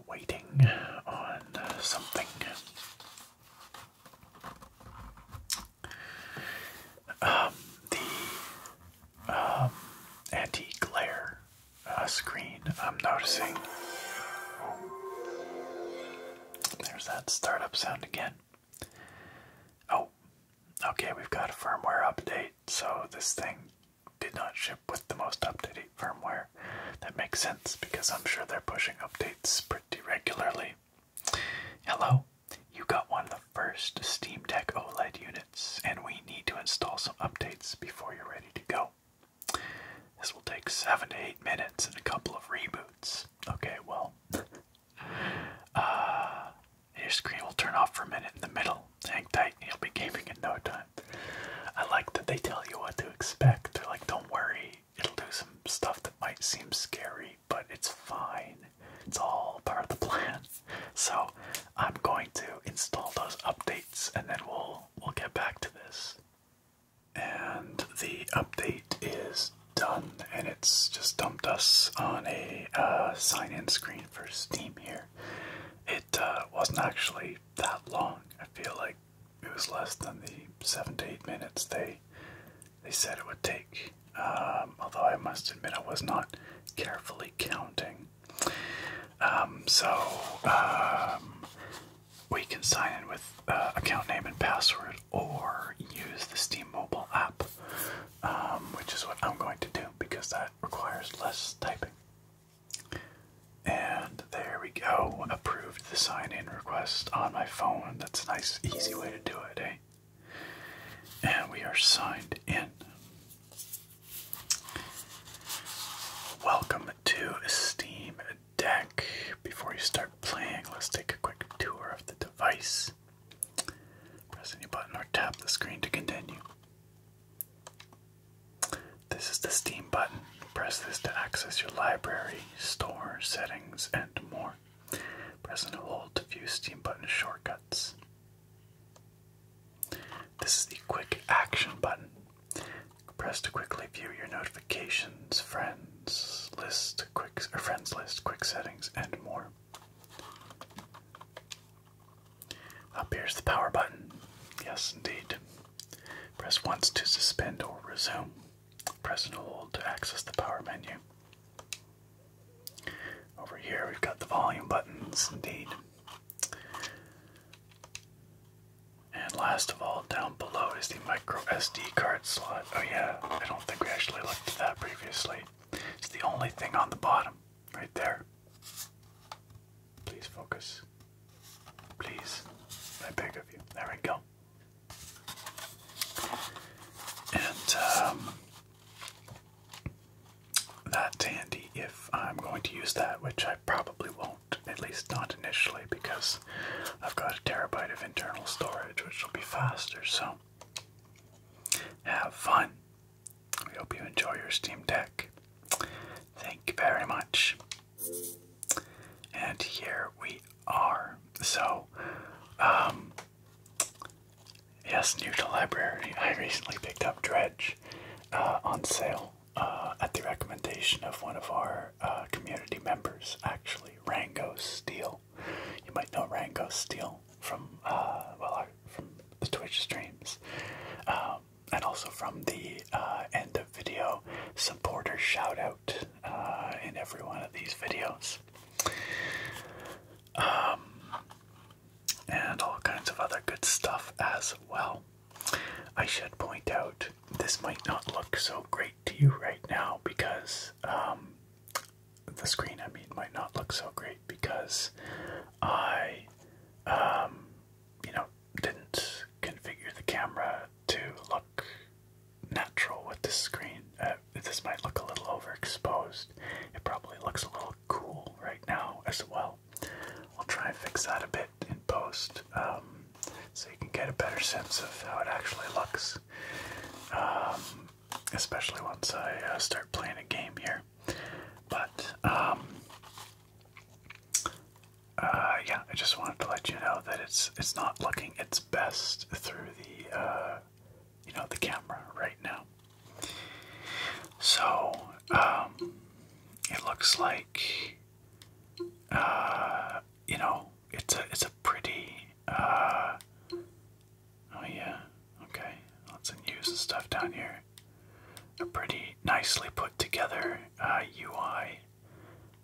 [SPEAKER 1] waiting on something. Um, the um, anti-glare uh, screen I'm noticing. There's that startup sound again. Oh, okay, we've got a firmware update, so this thing did not ship with the most updated firmware. That makes sense because I'm sure they're pushing updates pretty regularly. Hello, you got one of the first Steam Deck OLED units and we need to install some updates before you're ready to go. This will take seven to eight minutes and a couple of reboots. Okay, well, uh, your screen will turn off for a minute in the middle. Hang tight, and you'll be gaming in no time. I like that they tell you what to expect. They're like, don't worry, it'll do some stuff that might seem scary, but it's fine. It's all part of the plan. So, I'm going to install those updates and then we'll we'll get back to this. And the update is done, and it's just dumped us on a uh, sign-in screen for Steam here. It uh, wasn't actually that long. I feel like it was less than the seven to eight minutes they they said it would take. Um, although I must admit I was not carefully counting. Um, so um, we can sign in with uh, account name and password, or use the Steam mobile app, um, which is what I'm going to do because that requires less typing. And there we go. Approved the sign in request on my phone. That's a nice, easy way to do it, eh? And we are signed in. Welcome to Steam Deck. Before you start playing, let's take a quick tour of the device. Press any button or tap the screen to continue. This is the Steam button. Press this to access your library, store, settings, and more. Press and hold to view Steam button shortcuts. This is the quick action button. Press to quickly view your notifications, friends list, quick friends list, quick settings, and more. Up here's the power button. Yes, indeed. Press once to suspend or resume. Press and hold to access the power menu. Over here, we've got the volume buttons, indeed. And last of all, down below is the micro SD card slot. Oh, yeah, I don't think we actually looked at that previously. It's the only thing on the bottom, right there. Please focus. Please. I beg of you. There we go. And um, that's handy if I'm going to use that, which I probably won't, at least not initially, because I've got a terabyte of internal storage, which will be faster. So, have fun. We hope you enjoy your Steam Deck. Thank you very much. And here we are. So, um, yes, new to library. I recently picked up Dredge uh, on sale uh, at the recommendation of one of our uh, community members, actually, Rango Steel. You might know Rango Steel from uh, well, from the Twitch streams, um, and also from the end of video supporter shout out in every one of these videos. Um, and all kinds of other good stuff as well. I should point out this might not look so great to you right now because um, the screen, I mean, might not look so great because I, um, you know, didn't configure the camera to look natural with this screen. Uh, this might look a little overexposed. It probably looks a little cool right now as well. I'll try and fix that a bit in post um, so you can get a better sense of how it actually looks. Um, especially once I uh, start playing a game here. But, um, uh, yeah, I just wanted to let you know that it's it's not looking its best through the, uh, you know, the camera right now. So, it looks like uh, you know, it's a it's a pretty. Uh, oh yeah, okay. Let's use the stuff down here. A pretty nicely put together UI, uh,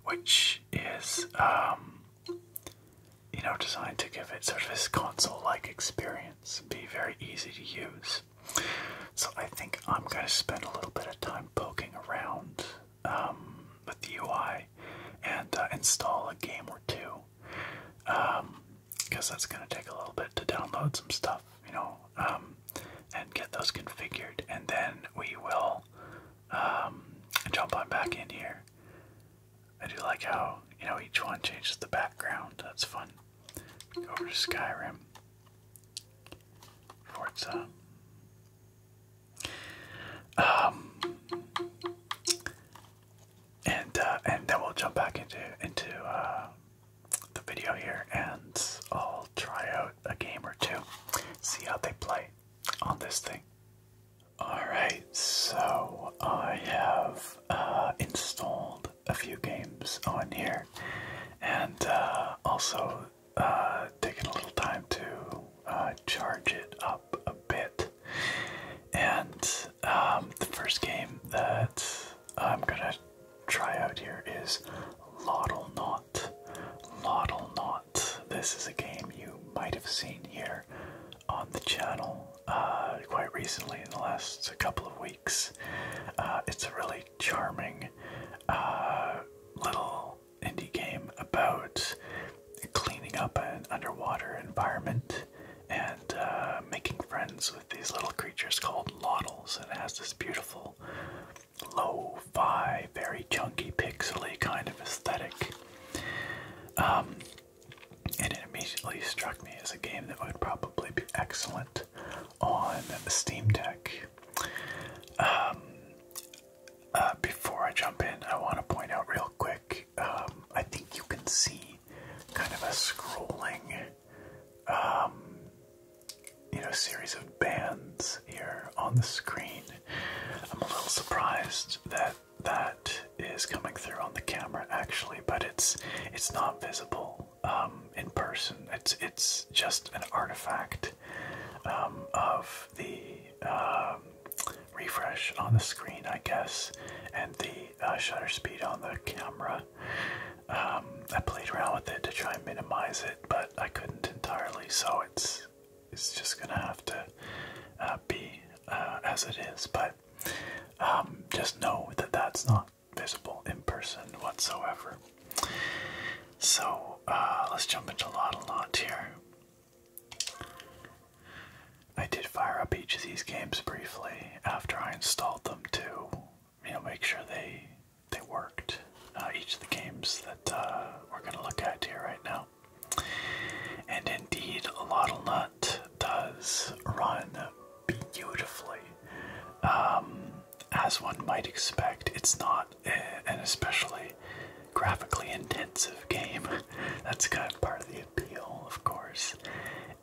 [SPEAKER 1] which is um, you know designed to give it sort of this console-like experience, be very easy to use. So I think I'm going to spend a little bit of time poking around um, with the UI and uh, install a game or two, because um, that's going to take a little bit to download some stuff, you know, um, and get those configured, and then we will jump on back in here. I do like how you know each one changes the background. That's fun. Go over to Skyrim. Forza. Um, and uh, and then we'll jump back into into uh, the video here, and I'll try out a game or two, see how they play on this thing. All right, so I have uh, installed a few games on here, and also uh, taking a little time to uh, charge it up a bit. And um, the first game that I'm gonna try out here is Laudle Knot. Laudle Knot. This is a game you might have seen here on the channel uh, quite recently in the last couple of weeks. it's a really charming uh, little indie game about cleaning up an underwater environment and uh, making friends with these little creatures called lottles. And it has this beautiful low fi, very chunky, pixely kind of aesthetic. Um, and it immediately struck me as a game that would probably be excellent on Steam Deck. Um, uh, before I jump in, I want to point out real quick. Um, I think you can see kind of a scrolling, um, you know, series of bands here on the screen. I'm a little surprised that that is coming through on the camera actually, but it's it's not visible um, in person. It's it's just an artifact um, of the um, refresh on the screen, I guess, and the uh, shutter speed on the camera. Um, I played around with it to try and minimize it, but I couldn't entirely, so it's it's just gonna have to uh, be uh, as it is. But just know that that's not visible in person whatsoever. So uh, let's jump into lot a lot here. I did fire up each of these games briefly after I installed them to, you know, make sure they they worked. Uh, each of the games that uh, we're going to look at here right now. And indeed, Lottlenut does run beautifully. Um, as one might expect, it's not not eh, an especially graphically intensive game. That's kind of part of the appeal, of course.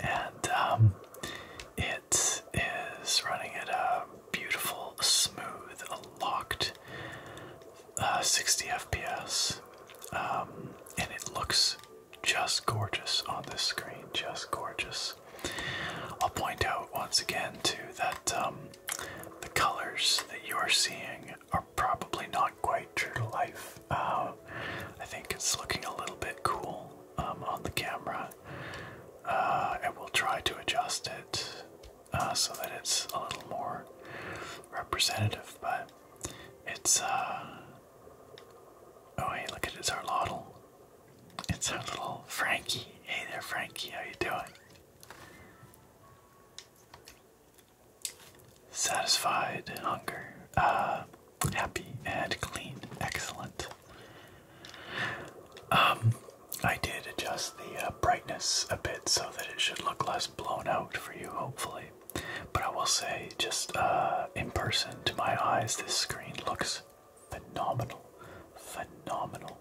[SPEAKER 1] And um, it is running at a beautiful, smooth, locked uh, 60 FPS. Um, and it looks just gorgeous on this screen, just gorgeous. I'll point out once again, to that um, the colors that you are seeing are probably not quite true to life. Uh, I think it's looking a little bit cool um, on the camera. Uh, I will try to adjust it uh, so that it's a little more representative, but it's. Uh, oh hey, look at it's our Loddle. It's our little Frankie. Hey there, Frankie. How you doing? Satisfied and hunger, uh, happy and clean, excellent. Um, I did adjust the uh, brightness a bit so that it should look less blown out for you, hopefully. But I will say, just uh, in person to my eyes, this screen looks phenomenal phenomenal.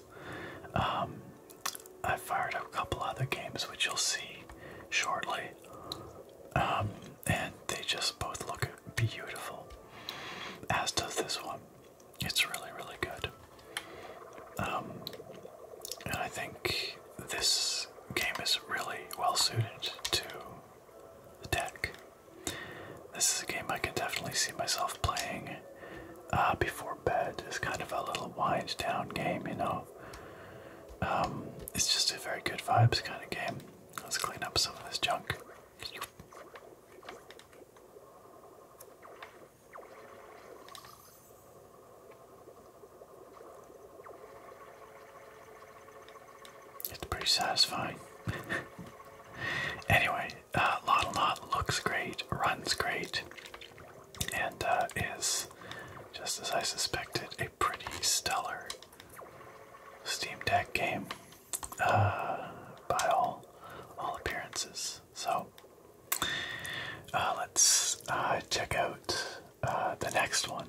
[SPEAKER 1] Um, I fired up a couple other games, which you'll see shortly, um, and they just both look beautiful. As does this one. It's really, really good. Um, and I think this game is really well suited to the deck. This is a game I can definitely see myself playing uh, before bed is kind of a little wind down game, you know. Um, it's just a very good vibes kind of game. Let's clean up some of this junk. It's pretty satisfying. anyway, uh, Lot a looks great, runs great and uh, is, just as I suspected, a pretty stellar Steam Deck game uh, by all all appearances. So uh, let's check out the next one.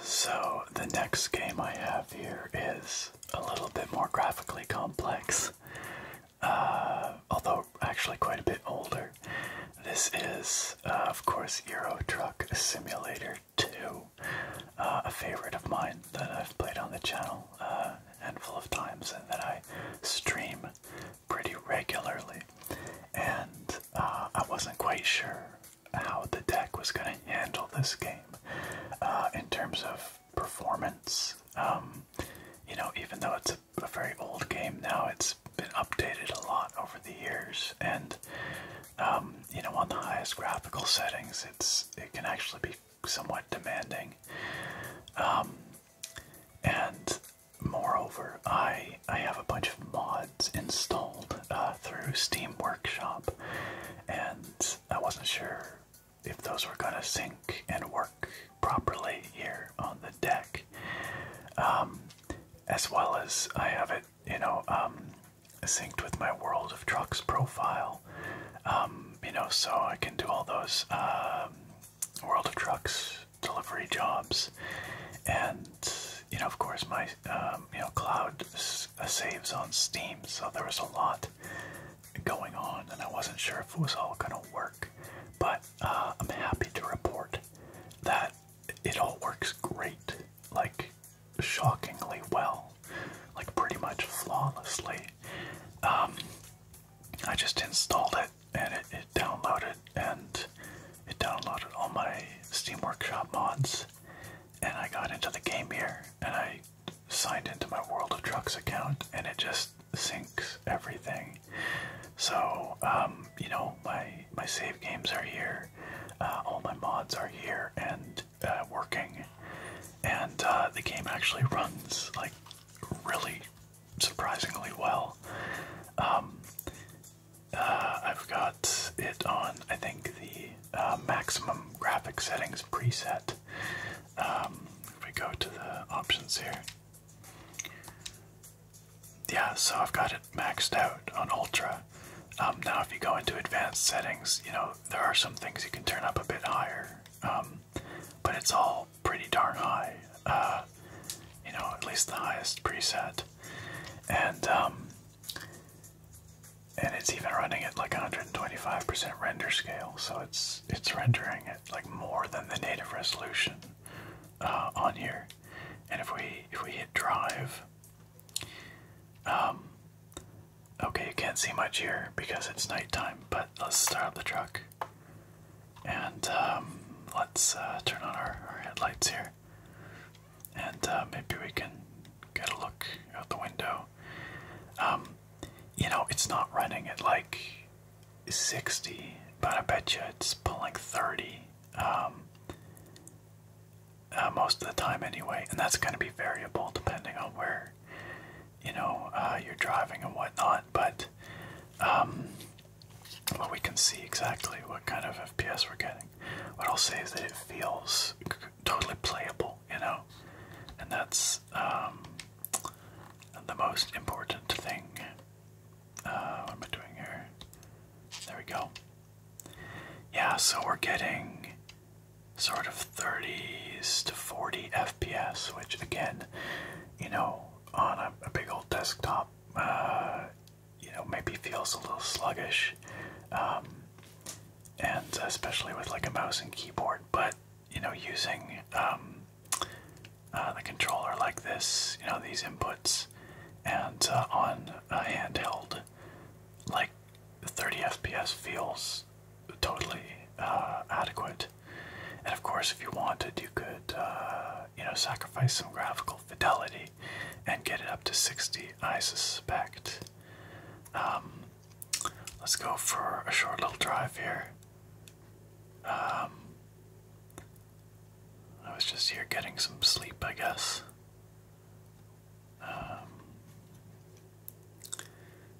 [SPEAKER 1] So the next game I have here is a little bit more graphically complex um, although actually quite a bit older. This is, uh, of course, Euro Truck Simulator 2, uh, a favorite of mine that I've played on the channel uh, a handful of times and that I stream pretty regularly. And uh, I wasn't quite sure how the deck was going to handle this game in terms of performance. Um, you know, even though it's a a very old game now. It's been updated a lot over the years, and um, you know, on the highest graphical settings, it's it can actually be somewhat demanding. Um, and moreover, I I have a bunch of mods installed uh, through Steam Workshop, and I wasn't sure if those were gonna sync and work properly here on the deck. Um, as well as I have it, you know, um, synced with my World of Trucks profile. Um, you know, so I can do all those um, World of Trucks delivery jobs, and you know, of course, my um, you know cloud uh, saves on Steam. So there was a lot going on, and I wasn't sure if it was all gonna work, but uh, I'm happy to report that it all works great, like shockingly well, like pretty much flawlessly. Um, I just installed it and it downloaded and it downloaded all my Steam Workshop mods and I got into the game here and I signed into my World of Trucks account and it just just syncs everything. So um, you know, my my save games are here, uh, all my mods are here and uh, working, and uh, the game actually runs like really surprisingly well. Um, I've got it on, I think, the maximum graphic settings preset. Um, if we go to the options here, yeah, so I've got it maxed out on ultra. Um, now, if you go into advanced settings, you know there are some things you can turn up a bit higher, um, but it's all pretty darn high. Uh, you know, at least the highest preset, and um, and it's even running at like 125% render scale, so it's it's rendering it like more than the native resolution. Uh, on here, and if we if we hit drive, um, okay, you can't see much here because it's night time. But let's start the truck, and um, let's uh, turn on our, our headlights here, and uh, maybe we can get a look out the window. Um, you know, it's not running It like 60, but I bet you it's pulling 30 um, uh, most of the time anyway, and that's going to be variable depending on where you know uh, you're driving and whatnot. But um, well, we can see exactly what kind of FPS we're getting. What I'll say is that it feels totally playable, you know, and that's um, the most important thing. Uh, what am I doing here? There we go. Yeah, so we're getting sort of 30s to 40 FPS, which again, you know, on a, big old desktop, uh, you know, maybe feels a little sluggish, um, and especially with like a mouse and keyboard. But you know, using um, uh, the controller like this, you know, these inputs, and uh, on a handheld, like 30 FPS feels totally uh, adequate. And of course, if you wanted, you could, you know, sacrifice some graphical fidelity and get it up to 60, I suspect. Um, let's go for a short little drive here. Um, I was just here getting some sleep, I guess. Um,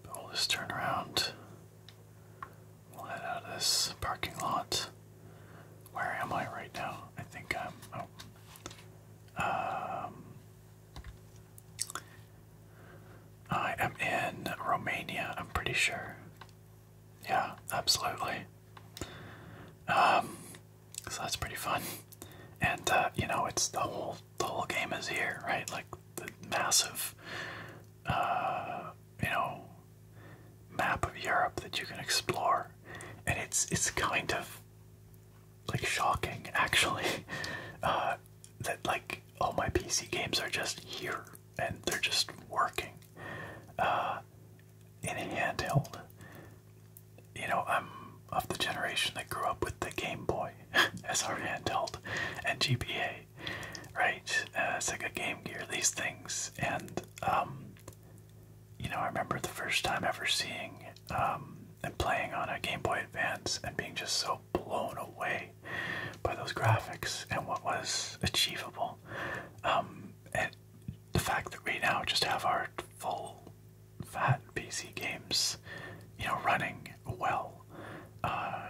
[SPEAKER 1] but we'll just turn around. We'll head out of this parking lot. Where am I right now? I think I'm. Oh. Um, I am in Romania, I'm pretty sure. Yeah, absolutely. Um, so that's pretty fun, and uh, you know, it's the whole the whole game is here, right? Like the massive, uh, you know, map of Europe that you can explore, and it's it's kind of like shocking actually uh, that like all my PC games are just here and they're just working uh, in a handheld. You know, I'm of the generation that grew up with the Game Boy as our handheld and GBA, right? It's uh, like a Game Gear, these things, and um, you know, I remember the first time ever seeing um, and playing on a Game Boy Advance and being just so blown away by those graphics and what was achievable. Um, and the fact that we now just have our full fat PC games, you know, running well uh,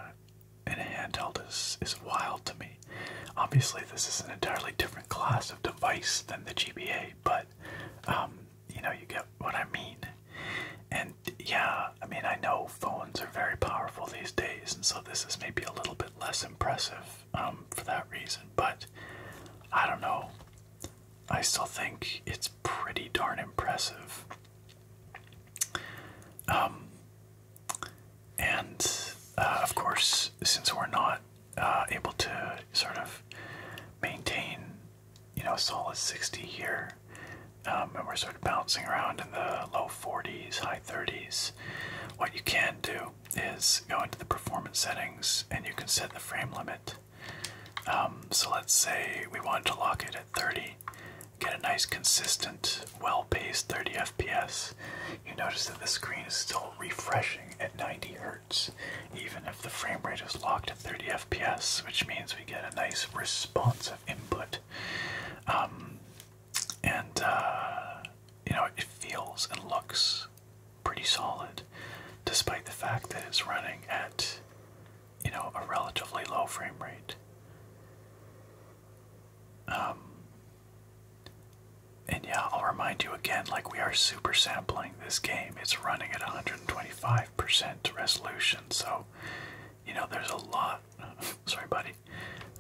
[SPEAKER 1] in a handheld is, is wild to me. Obviously, this is an entirely different class of device than the GBA, but um, you know, you get what I mean. And yeah, I mean, I know phones are very powerful these days, and so this is maybe a little bit less impressive um, for that reason. But I don't know. I still think it's pretty darn impressive. Um, and uh, of course, since we're not uh, able to sort of maintain, you know, solid 60 here, um, and we're sort of bouncing around in the low 40s, high 30s, what you can do is go into the performance settings and you can set the frame limit. Um, so let's say we wanted to lock it at 30, get a nice consistent, well-paced 30 FPS. You notice that the screen is still refreshing at 90 Hz, even if the frame rate is locked at 30 FPS, which means we get a nice responsive input. Um, and uh, you know it feels and looks pretty solid, despite the fact that it's running at you know a relatively low frame rate. Um, and yeah, I'll remind you again, like we are super sampling this game. It's running at 125% resolution, so you know there's a lot. Sorry, buddy.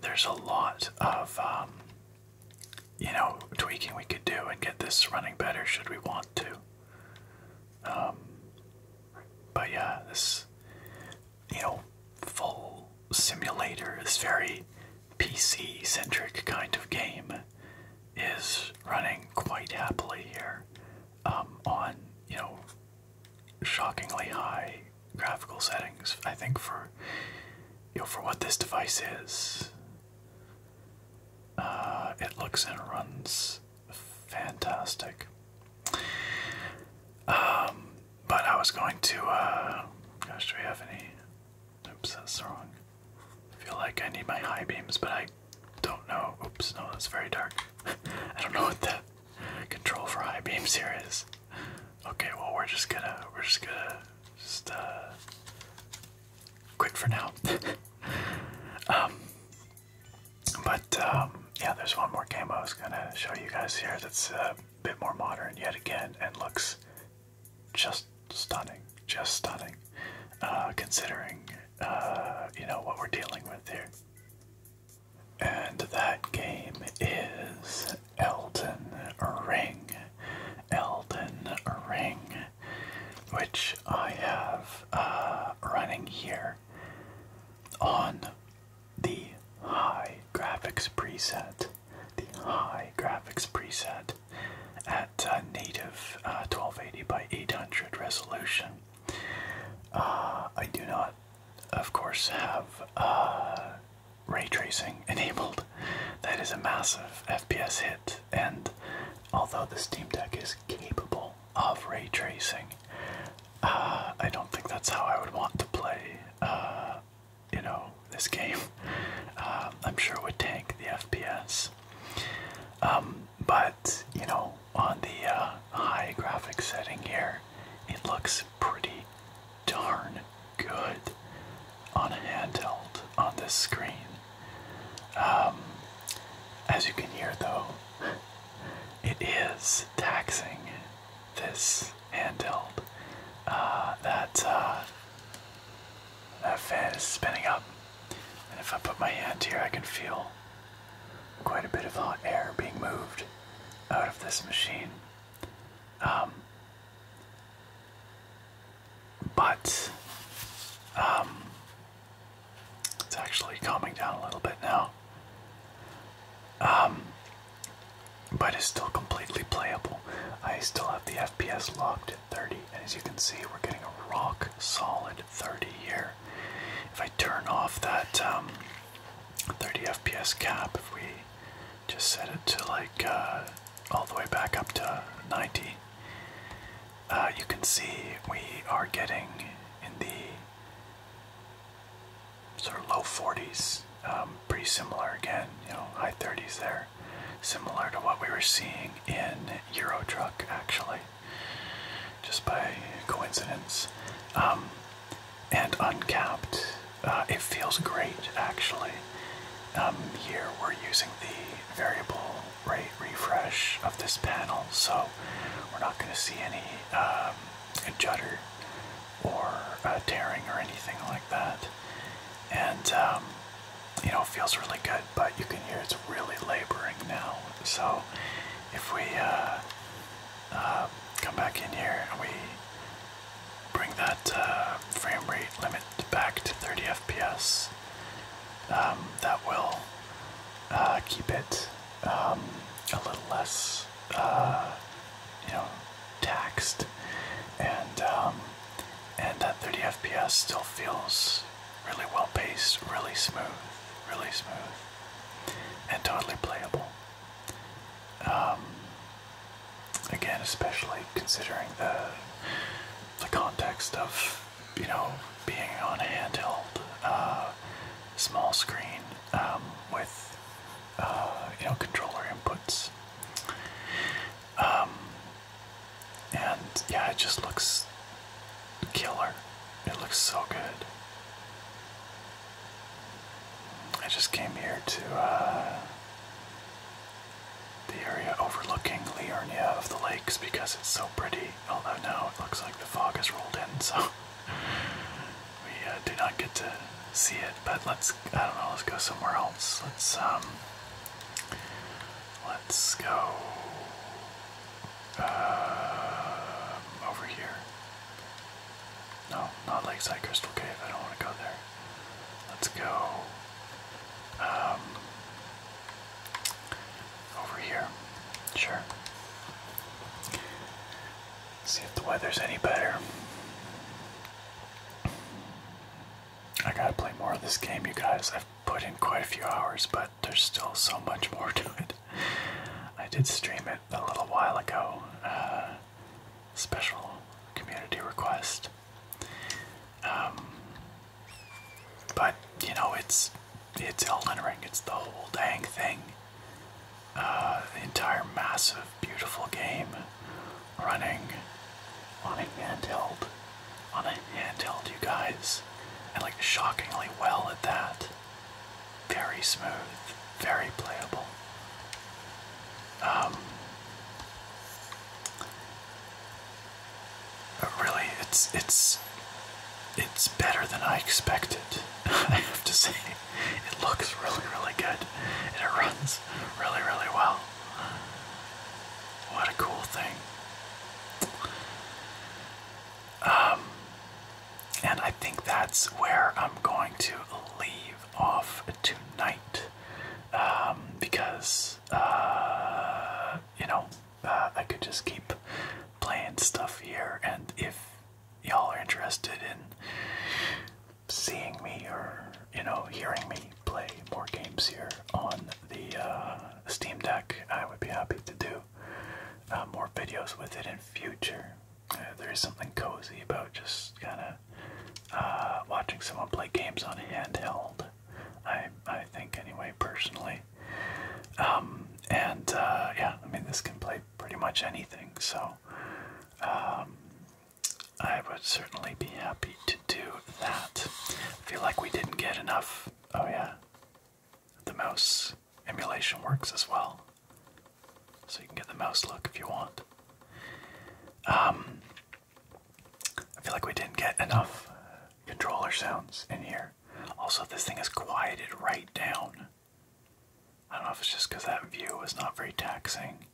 [SPEAKER 1] There's a lot of um, you know, tweaking we could do and get this running better should we want to. Um, but yeah, this, you know, full simulator, this very PC centric kind of game is running quite happily here um, on, you know, shockingly high graphical settings. I think for you know, for what this device is, uh, it looks and runs fantastic. Um, but I was going to, uh, gosh, do we have any? Oops, that's wrong. I feel like I need my high beams, but I don't know. Oops, no, it's very dark. I don't know what the control for high beams here is. Okay, well we're just gonna we're just gonna just uh quit for now. um but um yeah there's one more game I was gonna show you guys here that's a bit more modern yet again and looks just stunning. Just stunning. Uh considering uh you know what we're dealing with here. And that game is Elden Ring. Elden Ring, which I have uh, running here on the high graphics preset, the high graphics preset at uh, native 1280 uh, by 800 resolution. I do not, of course, have ray tracing enabled. That is a massive FPS hit, and although the Steam Deck is capable of ray tracing, uh, I don't think that's how I would want to play, uh, you know, this game. Uh, I'm sure it would tank the FPS. Um, but you know, on the high graphic setting here, it looks pretty darn good on a handheld on this screen. Um, as you can hear, though, it is taxing this handheld. Uh, that uh, that fan is spinning up, and if I put my hand here, I can feel quite a bit of hot air being moved out of this machine. Um, but um, it's actually calming down a little bit now. Um, but it's still completely playable. I still have the FPS locked at 30, and as you can see, we're getting a rock solid 30 here. If I turn off that um, 30 FPS cap, if we just set it to like uh, all the way back up to 90. Uh, you can see we are getting in the sort of low 40s, um, pretty similar again, you know, high 30s there, similar to what we were seeing in Euro Truck actually, just by coincidence. Um, and uncapped, uh, it feels great actually here um, we're using the variable rate refresh of this panel, so we're not going to see any um, judder or tearing or anything like that. And um, you know, it feels really good, but you can hear it's really laboring now. So if we uh, uh, come back in here and we bring that uh, frame rate limit back to 30 FPS. Um, that will uh, keep it um, a little less, uh, you know, taxed, and um, and that 30 FPS still feels really well paced, really smooth, really smooth, and totally playable. Again, especially considering the the context of you know being on a handheld uh, small screen um, with uh, you know controller inputs. Um, and yeah, it just looks killer. It looks so good. I just came here to uh, the area overlooking Liurnia of the lakes because it's so pretty. Although now it looks like the fog has rolled in, so we uh, do not get to see it. But let's, I don't know, let's go somewhere else. Let's, um, let's go uh, over here. No, not Lakeside Crystal Cave. I don't want to go there. Let's go um, over here. Sure. See if the weather's any better. I gotta play more of this game, you guys. I've put in quite a few hours, but there's still so much more to it. I did stream it a little while ago. Uh, special community request. Um, but you know, it's it's Elden Ring. It's the whole dang thing. Uh, the entire massive, beautiful game running on a handheld, on a handheld, you guys, and like shockingly well at that. Very smooth, very playable. Um, really, it's it's it's better than I expected. I have to say, it looks really really good, and it runs really really well. What a cool thing. Um, and I think that's where I'm going to leave off tonight um, because uh, you know, uh, I could just keep playing stuff here. And if y'all are interested in seeing me or, you know, hearing me play more games here on the uh, Steam Deck, I would be happy to do uh, more videos with it in future. there is something cozy about just kind of watching someone play games on a handheld I I think anyway personally. Um, and uh, yeah, I mean this can play pretty much anything, so um, I would certainly be happy to do that. I feel like we didn't get enough. Oh yeah, the mouse emulation works as well, so you can get the mouse look if you want. Um, I feel like we didn't get enough controller sounds in here. Also, this thing is quieted right down. I don't know if it's just because that view was not very taxing.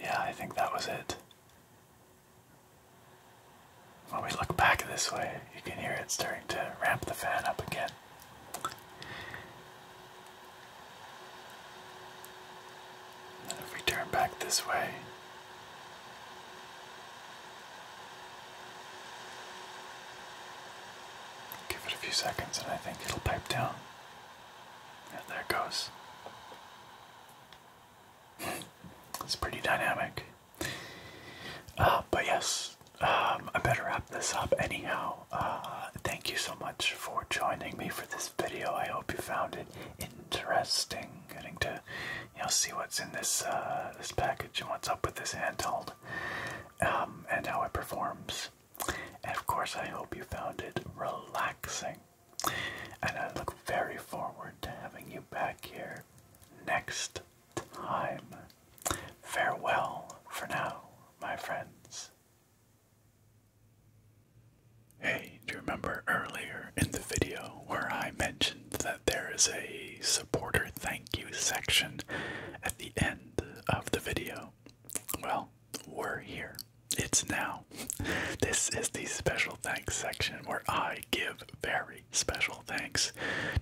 [SPEAKER 1] Yeah, I think that was it. When we look back this way, you can hear it starting to ramp the fan up again. And if we turn back this way, give it a few seconds and I think it'll pipe down. Yeah, there it goes. it's pretty dynamic. Uh, but yes, um, I better wrap this up anyhow. Uh, thank you so much for joining me for this video. I hope you found it Interesting. Getting to see what's in this uh, this package and what's up with this handheld, um, and how it performs. And of course, I hope you found it relaxing. And I look very forward to having you back here next time. Farewell for now, my friends. Hey, do you remember earlier in the video where I mentioned that there is a supporter thank you section at the end of the video? Well, we're here. It's now. This is the special thanks section where I give very special thanks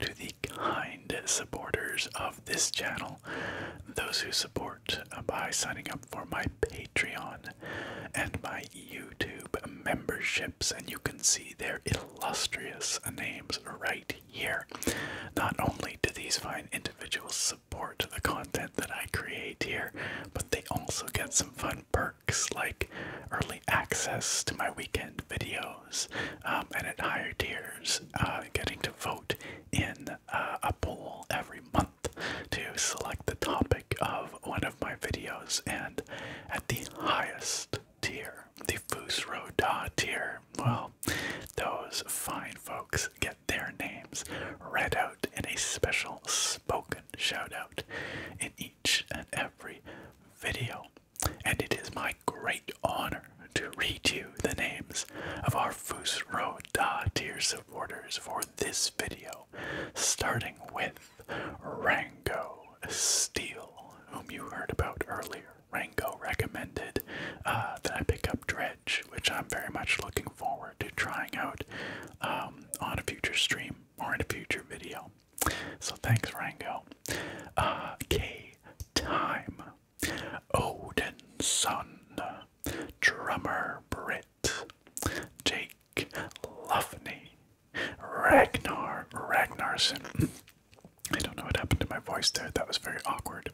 [SPEAKER 1] to the kind supporters of this channel, those who support by signing up for my Patreon and my YouTube memberships, and you can see their illustrious names right here. Not only do these fine individuals support the content that I create here, but they also get some fun perks like early access to my weekend videos, um, and at higher tiers, uh, getting to vote in uh, a poll every month to select the topic of one of my videos, and at the highest tier, the Fusro Da tier, well, those fine folks get their names read out in a special spoken shout out in each and every video. And it is my great honor to read you the names of our Fusro Da tier supporters for this video, starting with Rango Steel, whom you heard about earlier. Rango recommended uh, that I pick up Dredge, which I'm very much looking forward to trying out um, on a future stream or in a future video. So thanks, Rango. Uh, K Time, Odin Sun, Drummer Brit, Jake. Lufney, Ragnar Ragnarsson. I don't know what happened to my voice there. That was very awkward.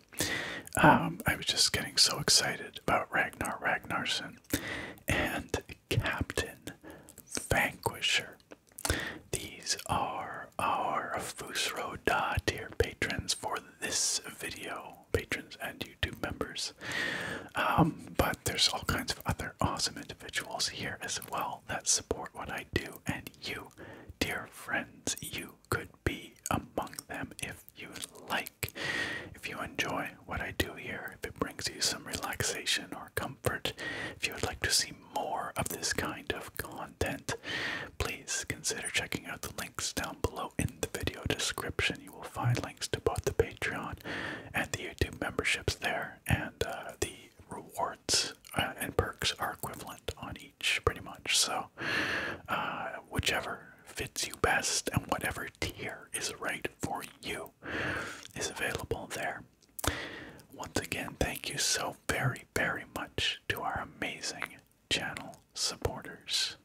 [SPEAKER 1] Um, I was just getting so excited about Ragnar Ragnarsson and Captain Vanquisher. These are our Fusro Da dear patrons for this video, patrons and you. YouTube members. Um, but there's all kinds of other awesome individuals here as well that support what I do, and you, dear friends, you could be among them if you like. If you enjoy what I do here, if it brings you some relaxation or comfort, if you would like to see more of this kind of content, please consider checking out the links down below in the video description. You will find to both the Patreon and the YouTube memberships there, and uh, the rewards uh, and perks are equivalent on each, pretty much. So, uh, whichever fits you best and whatever tier is right for you is available there. Once again, thank you so very, very much to our amazing channel supporters.